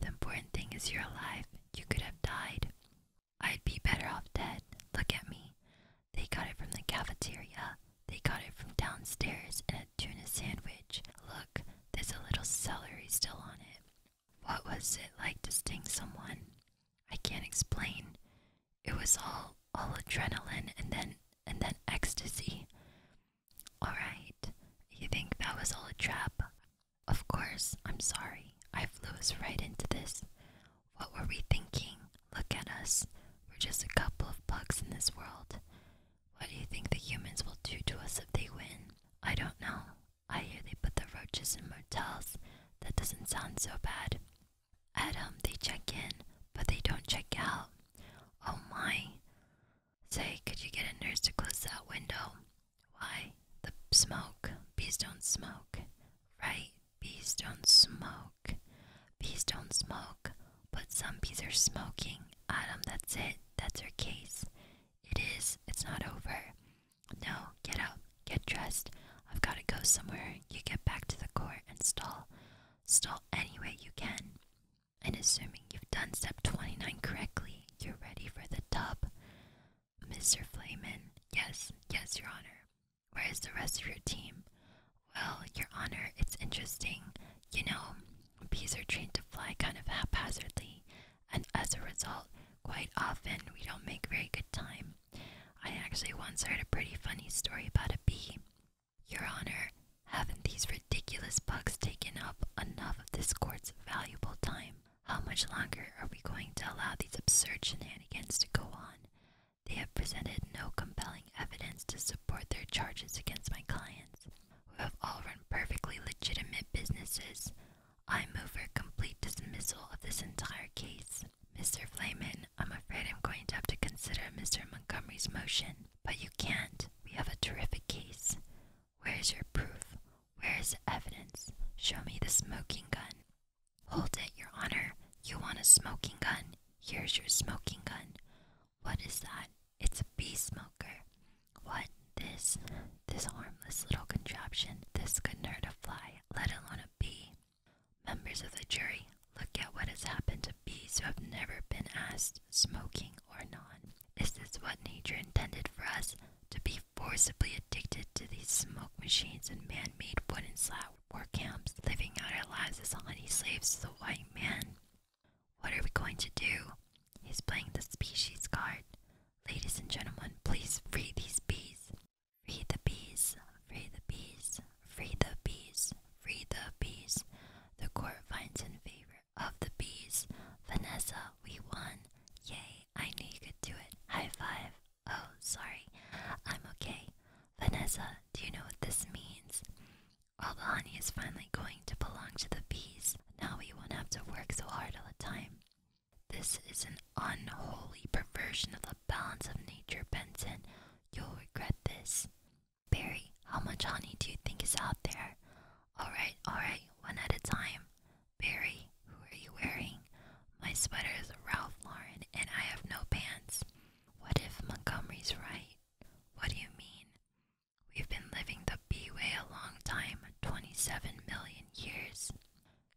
The important thing is you're alive. You could have died. I'd be better off dead. Look at me. They got it from the cafeteria. They got it from downstairs in a tuna sandwich. Look, there's a little celery still on it. What was it like to sting someone? I can't explain it was all all adrenaline and then and then ecstasy. Alright, you think that was all a trap? Of course, I'm sorry. I flew us right into this. What were we thinking? Look at us. We're just a couple of bugs in this world. What do you think the humans will do to us if they win? I don't know. I hear they put the roaches in motels. That doesn't sound so bad. Adam, they check in, but they don't check out. Oh my. Say, could you get a nurse to close that window? Why? The smoke. Bees don't smoke. Right? Bees don't smoke. Bees don't smoke. But some bees are smoking. Adam, that's it. That's her case. It is. It's not over. No, get out. Get dressed. I've got to go somewhere. You get back to the court and stall. Stall any way you can. And assuming you've done step 29 correctly, you're ready for the dub, Mr. Flamen. Yes, yes, Your Honor. Where is the rest of your team? Well, Your Honor, it's interesting. You know, bees are trained to fly kind of haphazardly, and as a result, quite often we don't make very good time. I actually once heard a pretty funny story about a bee. Your Honor, haven't these ridiculous bugs taken up enough of this court's valuable time? How much longer are we going to allow these absurd shenanigans to go on? They have presented no compelling evidence to support their charges against my clients, who have all run perfectly legitimate businesses. I move for complete dismissal of this entire case. Mr. Flamen, I'm afraid I'm going to have to consider Mr. Montgomery's motion. But you can't. We have a terrific case. Where is your proof? Where is the evidence? Show me the smoking gun. Hold it, Your Honor. You want a smoking gun? Here's your smoking gun. What is that? It's a bee smoker. What? This? This harmless little contraption. This could hurt a fly, let alone a bee. Members of the jury, look at what has happened to bees who have never been asked, smoking or not. Is this what nature intended for us? To be forcibly addicted to these smoke machines and man made wooden slab war camps, living out our lives as honey slaves to the white man? What are we going to do? He's playing the species card. Ladies and gentlemen, please free these bees. Free the bees, free the bees, free the bees, free the bees. The court finds in favor of the bees. Vanessa, we won. Yay, I knew you could do it. High five. Oh, sorry. I'm okay. Vanessa, do you know what this means? All the honey is finally going to belong to the bees. Now we won't have to work so hard all the time. This is an unholy perversion of the balance of nature, Benson. You'll regret this. Barry, how much honey do you think is out there? Alright, alright, one at a time. Barry, who are you wearing? My sweater is Ralph Lauren and I have no pants. What if Montgomery's right? What do you mean? We've been living the Bee way a long time 27 million years.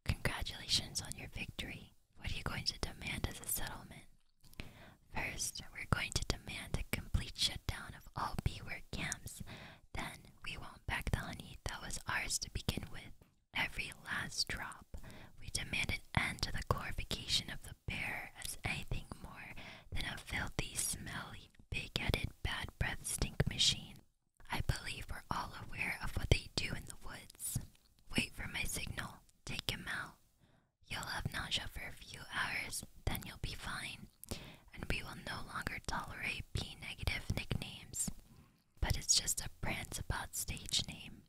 Congratulations on your victory. What are you going to demand as a settlement? First, we're going to demand a complete shutdown of all bee camps. Then, we won't back the honey that was ours to begin with. Every last drop. We demand an end to the glorification of the bear as anything more than a filthy, smelly, big headed, bad breath stink machine. I believe we're all aware of what they do in the woods. Wait for my signal. Take him out. You'll have nausea for a few hours, then you'll be fine, and we will no longer tolerate P negative nicknames. But it's just a prance about stage name.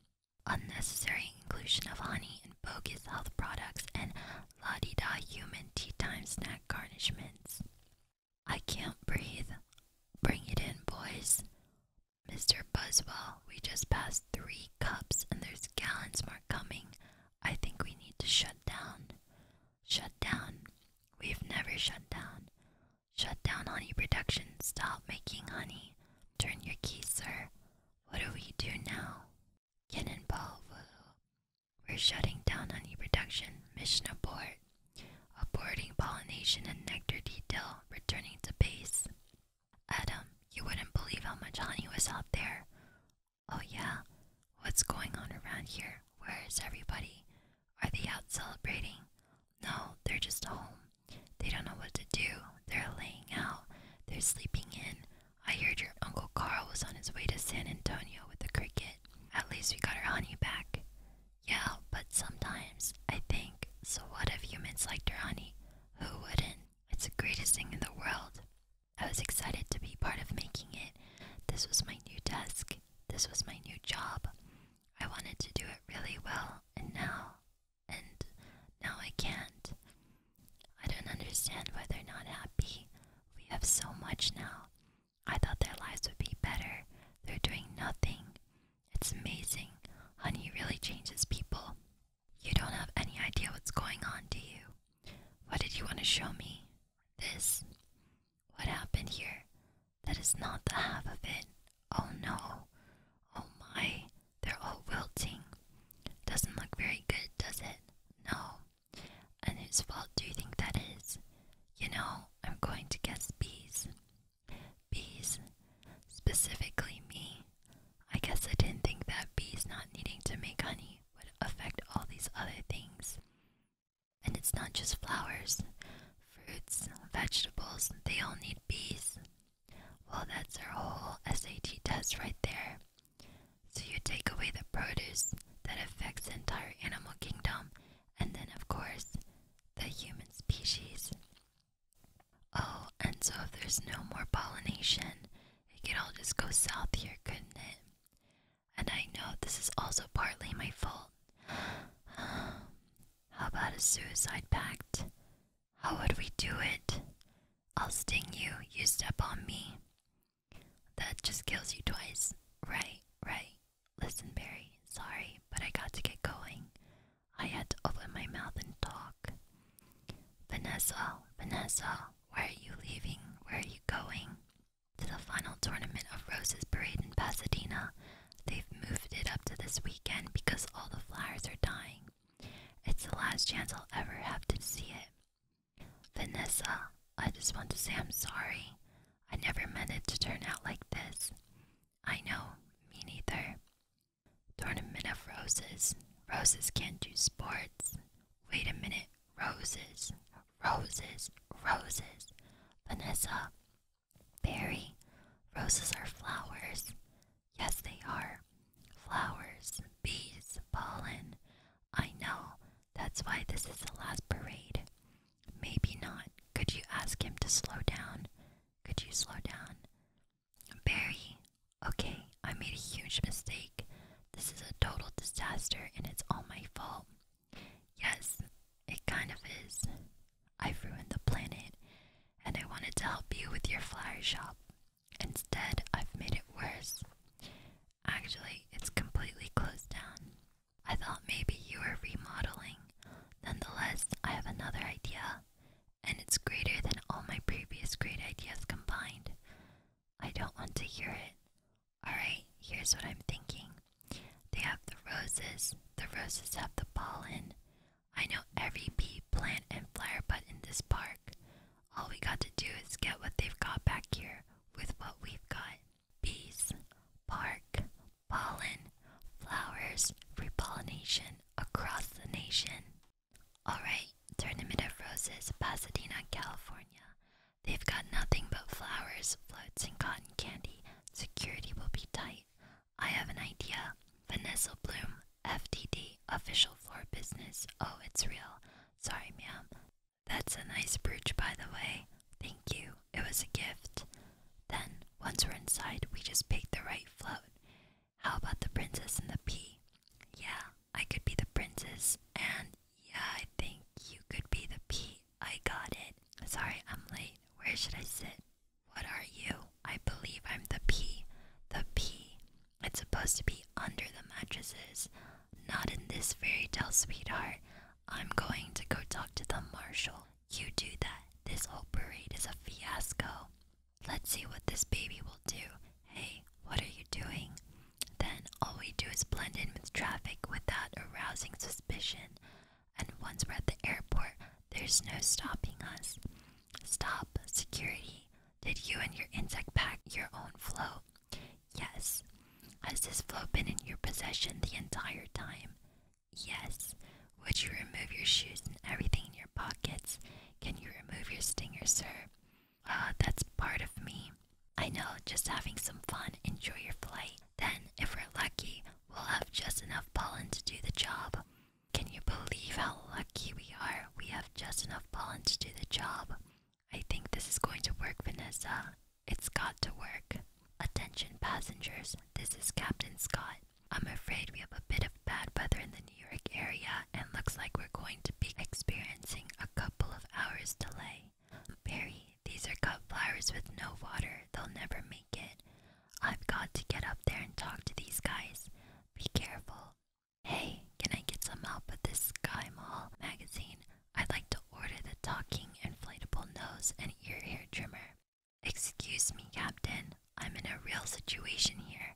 Unnecessary inclusion of honey and bogus health products and la di da human tea time snack garnishments. I can't breathe. Bring it in, boys. Mr. Buzzwell, we just passed three cups and there's gallons more coming. I think we need to shut down. Shut down. We've never shut down. Shut down honey production. Stop making honey. Turn your key, sir. What do we do now? Cannonball Voodoo. We're shutting down honey production. Mission abort. Aborting pollination and nectar detail. Returning to base. Adam, you wouldn't believe how much honey was out there. Oh, yeah? What's going on around here? Where is everybody? Are they out celebrating? No, they're just home. They don't know what to do. They're laying out. They're sleeping in. I heard your Uncle Carl was on his way to San Antonio with the cricket. At least we got our honey back. Yeah, but sometimes I think, so what if humans liked our honey? Who wouldn't? It's the greatest thing in the world. I was excited to be part of making it. This was my new desk. This was my new job. I wanted to do it really well, and now, and now I can't. I don't understand why they're not happy. We have so much now. I thought their lives would be better. They're doing nothing. It's amazing. Honey really changes people. You don't have any idea what's going on, do you? What did you want to show me? This? What happened here? That is not the half of it. Oh no. Oh my. They're all wilting. Doesn't look very good, does it? No. And whose fault do you think that is? You know, I'm going to guess bees. Bees. Specifically me. I guess I didn't think that bees not needing to make honey would affect all these other things. And it's not just flowers, fruits, vegetables, they all need bees. Well, that's our whole SAT test right there. So you take away the produce that affects the entire animal kingdom, and then, of course, the human species. Oh, and so if there's no more pollination, it could all just go south here, couldn't it? And I know this is also partly my fault. How about a suicide pact? How would we do it? I'll sting you, you step on me. That just kills you twice. Right, right. Listen, Barry, sorry, but I got to get going. I had to open my mouth and talk. Vanessa, Vanessa, where are you leaving? Where are you going? To the final tournament of Rose's Parade in Pasadena. They've moved it up to this weekend because all the flowers are dying. It's the last chance I'll ever have to see it. Vanessa, I just want to say I'm sorry. I never meant it to turn out like this. I know, me neither. Tournament of roses. Roses can't do sports. Wait a minute. Roses. Roses. Roses. Vanessa. Barry. Roses are flowers. Yes, they are. Flowers. Bees. Pollen. I know. That's why this is the last parade. Maybe not. Could you ask him to slow down? Could you slow down? Barry, okay, I made a huge mistake. This is a total disaster and it's all my fault. Yes, it kind of is. I've ruined the planet and I wanted to help you with your flower shop. Instead, I've made it worse. Actually, it's completely closed down. I thought maybe you were remodeling. Nonetheless, I have another idea and it's greater than all my previous great ideas combined. I don't want to hear it. Alright, here's what I'm thinking. They have the roses, the roses have the pollen. I know every bee, plant, and flower bud in this park. All we got to do is get what they've got back here with what we've got bees, park, pollen, flowers, repollination across the nation. Alright, Tournament of Roses, Pasadena, California. They've got nothing but flowers, floats, and cotton candy. Security will be tight. I have an idea. Vanessa Bloom, FTD, official for business. Oh, it's real. Sorry, ma'am. That's a nice brooch, by the way. Thank you. It was a gift. Then, once we're inside, we just pick the right float. How about the princess and the pea? Yeah, I could be the princess, and yeah, I think you could be the pea. I got it. Sorry, I'm late. Where should I sit? What are you? I believe I'm the pea. The pea. It's supposed to be under the mattresses. Not in this fairy tale, sweetheart. I'm going to go talk to the marshal. You do that. This whole parade is a fiasco. Let's see what this baby will do. Hey, what are you doing? Then all we do is blend in with traffic without arousing suspicion. And once we're at the airport, there's no stopping us. Stop, security. Did you and your insect pack your own float? Yes. Has this float been in your possession the entire time? Yes. Would you remove your shoes and everything in your pockets? Can you remove your stinger, sir? Ah, that's part of me. I know, just having some fun. Enjoy your flight. Then, if we're lucky, we'll have just enough pollen to do the job. Can you believe how lucky we are? We have just enough pollen to do the job. I think this is going to work, Vanessa. It's got to work. Attention, passengers. This is Captain Scott. I'm afraid we have a bit of bad weather in the New York area, and looks like we're going to be experiencing a couple of hours delay. Barry, these are cut flowers with no water. They'll never make it. I've got to get up there and talk to these guys. Be careful. Hey, can I get some help with this Sky Mall magazine? I'd like to order the talking inflatable nose and ear hair trimmer. Excuse me, Captain. I'm in a real situation here.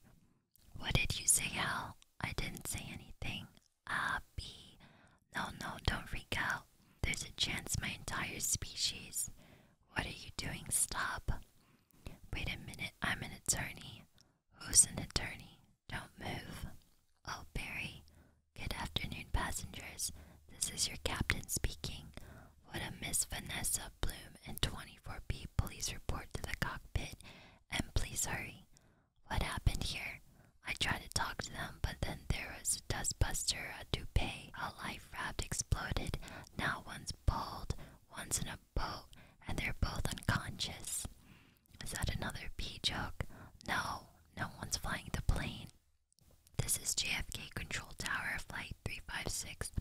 What did you say, Al? I didn't say anything. Ah, B. No, no, don't freak out. There's a chance my entire species. What are you doing? Stop. Wait a minute, I'm an attorney. Who's an attorney? Don't move. Oh, Barry. Good afternoon, passengers. This is your captain speaking. Would a Miss Vanessa Bloom and 24B please report to the cockpit and please hurry. What happened here? I tried to talk to them, but then there was a dustbuster, a toupee, a life raft exploded. Now one's bald, one's in a boat, and they're both unconscious. Is that another pea joke? No, no one's flying the plane. This is JFK Control Tower, Flight 356.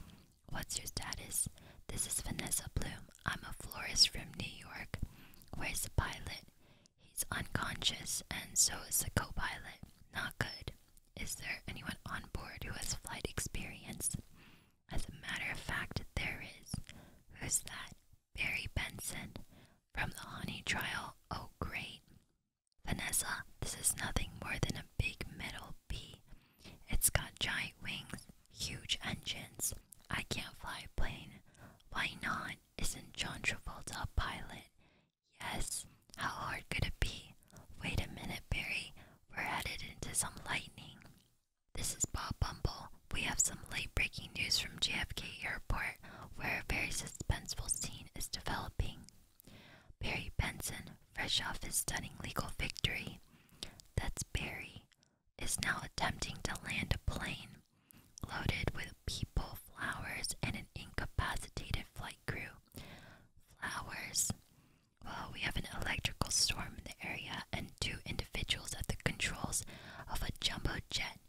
What's your status? This is Vanessa Bloom. I'm a florist from New York. Where's the pilot? He's unconscious, and so is the co pilot. Not good. Is there anyone on board who has flight experience? As a matter of fact, there is. Who's that? Barry Benson. From the Honey trial. Oh, great. Vanessa, this is nothing more than a big metal bee it's got giant wings, huge engines. I can't fly a plane. Why not? Isn't John Travolta a pilot? Yes. How hard could it be? Wait a minute, Barry. We're headed into some lightning. This is Bob Bumble. We have some late breaking news from JFK Airport where a very suspenseful scene is developing. Barry Benson, fresh off his stunning legal victory. That's Barry is now attempting to land a plane loaded with people, flowers, and an incapacitated flight crew. Flowers. Well, we have an electrical storm in the area and two individuals at the controls of a jumbo jet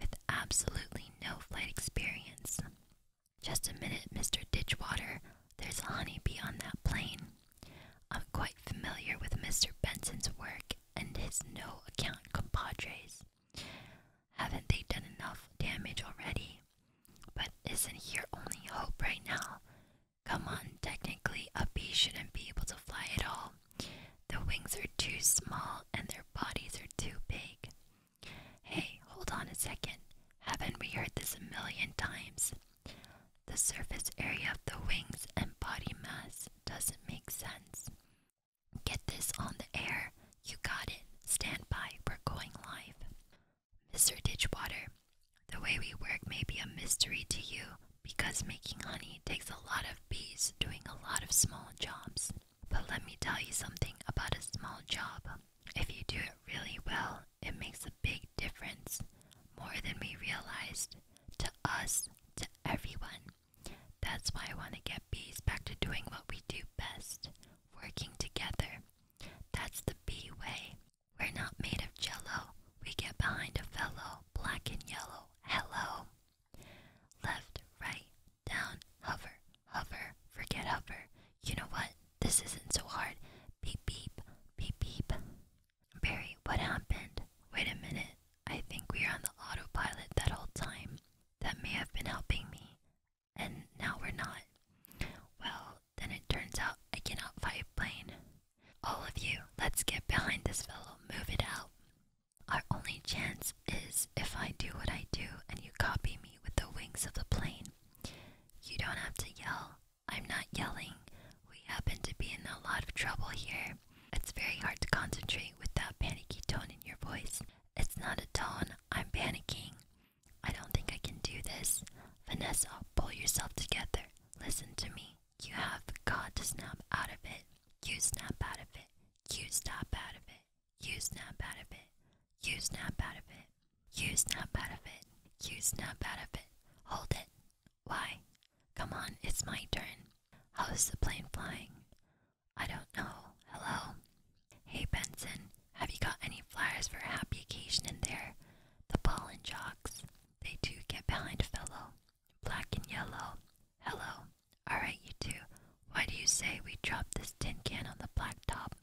with absolutely no flight experience. Just a minute, Mr. Ditchwater. There's a honeybee on that plane. I'm quite familiar with Mr. Benson's work and his no account compadres. Haven't they done enough damage already? But isn't here only hope right now? Come on, technically, a bee shouldn't be able to fly at all. The wings are too small and their bodies are too big. Hey, hold on a second. Haven't we heard this a million times? the surface area of the wings and body mass doesn't make sense. Get this on the air. You got it. Stand by. We're going live. Mr. Ditchwater, the way we work may be a mystery to you because making honey takes a lot of bees doing a lot of small jobs. But let me tell you something about a small job. If you do it really well, it makes a big difference, more than we realized to us, to everyone. That's why I want to get bees back to doing what we do best working together. That's the bee way. We're not made of jello, we get behind a fellow, black and yellow. Hello. Left, right, down, hover, hover, forget hover. You know what? This isn't so hard. Beep, beep, beep, beep. Barry, what happened? Wait a minute. I think we are on the autopilot that whole time. That may have been helping me. And now we're not. Well, then it turns out I cannot fly a plane. All of you, let's get behind this fellow. Move it out. Our only chance is if I do what I do and you copy me with the wings of the plane. You don't have to yell. I'm not yelling. We happen to be in a lot of trouble here. It's very hard to concentrate with that panicky tone in your voice. It's not a tone. I'm panicking. I don't think I can do this. Vanessa, pull yourself together. Listen to me. You have got to snap out of it. You snap out of it. You snap out of it. You snap out of it. You snap out of it. You snap out of it. You snap out of it. Hold it. Why? Come on, it's my turn. How's the plane flying? I don't know. Hello? Hey, Benson, have you got any flyers for a happy occasion in there? The ball and jocks. They do get behind a fellow. Black and yellow. Hello. Alright, you two. Why do you say we dropped this tin can on the blacktop?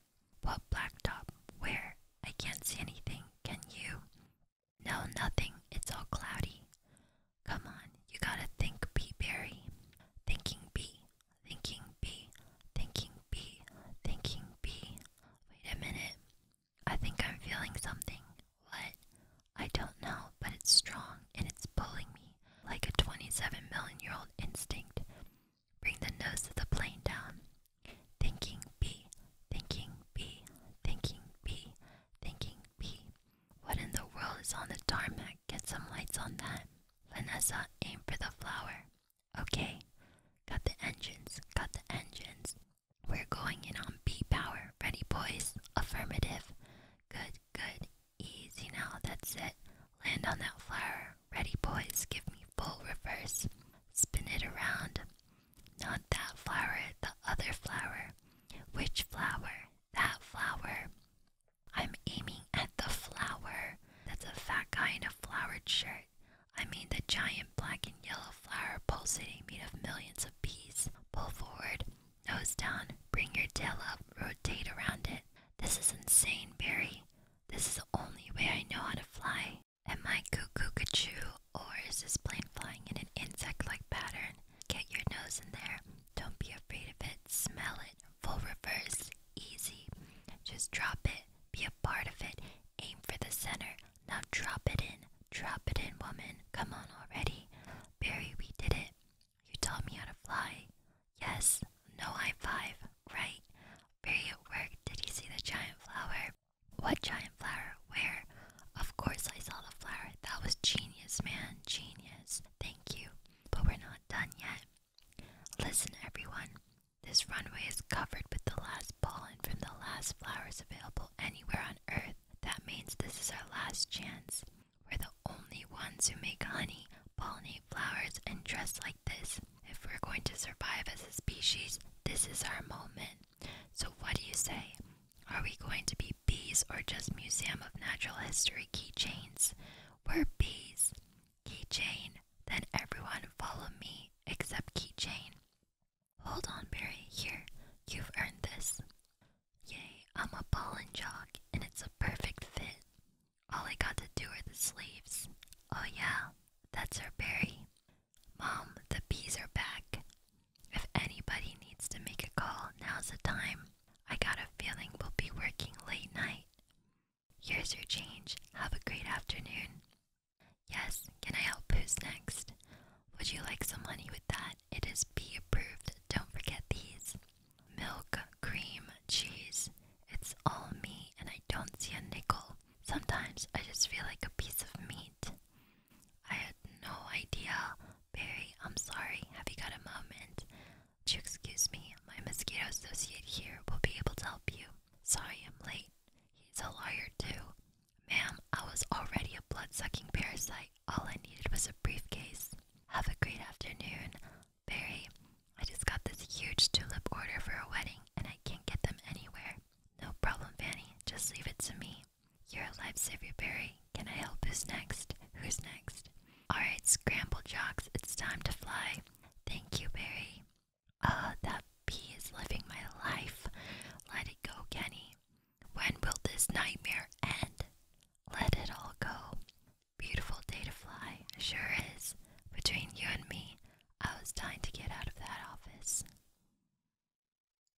What blacktop? Where? I can't see anything. Can you? No, nothing. It's all cloudy. Come on, you gotta think B Barry. Thinking B, thinking B, thinking B, thinking B. Wait a minute. I think I'm feeling something. What? I don't know, but it's strong and it's pulling me like a 27 million year old instinct. Bring the nose of the plane down. Thinking B, thinking B, thinking B, thinking, P. What in the world is on the tarmac? Get some lights on that. Vanessa, aim for the flower. Okay. Got the engines. Got the engines. We're going in on B power. Ready, boys? Affirmative. Good, good. Easy now. That's it. Land on that flower. Ready, boys? Give me full reverse. Spin it around. Not that flower, the other flower. Which flower? That flower. I'm aiming at the flower. That's a fat guy in a flowered shirt. I mean the giant black and yellow flower pulsating made of millions of bees. Pull forward, nose down, bring your tail up, rotate around it. This is insane, Barry. This is the only way I know how to fly. Am I cuckoo cuckoo? Or is this plane flying in an insect like pattern? Get your nose in there. Don't be afraid of it. Smell it. Full reverse. Easy. Just drop it. Be a part of it. Aim for the center. Now drop it in. Drop it in, woman. Come on already. Barry, we did it. You taught me how to fly. Yes. No high five. Right. Barry at work. Did he see the giant flower? What giant flower? Where? Of course I saw the flower. That was genius, man. Genius. Thank you. But we're not done yet. Listen, everyone. This runway is covered with the last pollen from the last flowers available anywhere on Earth. That means this is our last chance. We're the only ones who make honey, pollinate flowers, and dress like this. If we're going to survive as a species, this is our moment. So, what do you say? Are we going to be bees or just Museum of Natural History keychains? We're bees. Keychain. Then everyone follow me except Keychain. Hold on, Barry. Here, you've earned this. Yay, I'm a pollen jog, and it's a perfect fit. All I got to do are the sleeves. Oh, yeah, that's her berry. Mom, the bees are back. If anybody needs to make a call, now's the time. I got a feeling we'll be working late night. Here's your change. Have a great afternoon. Yes, can I help? Who's next? Would you like some money with that? It is bee approved. Don't forget these milk, cream, cheese. It's all me, and I don't see a nickel. Sometimes I just feel like a piece of meat. I had no idea. Barry, I'm sorry. Have you got a moment? Would excuse me? My mosquito associate here will be able to help you. Sorry I'm late. He's a lawyer too. Ma'am, I was already a blood sucking parasite. All I needed was a briefcase. Have a great afternoon. Barry, I just got this huge tulip order for a wedding and I can't get them anywhere. No problem, Fanny. Just leave it to me me. You're a lifesaver, Barry. Can I help? Who's next? Who's next? Alright, scramble jocks, it's time to fly. Thank you, Barry. Oh, that bee is living my life. Let it go, Kenny. When will this nightmare end? Let it all go. Beautiful day to fly, sure is. Between you and me, I was dying to get out of that office.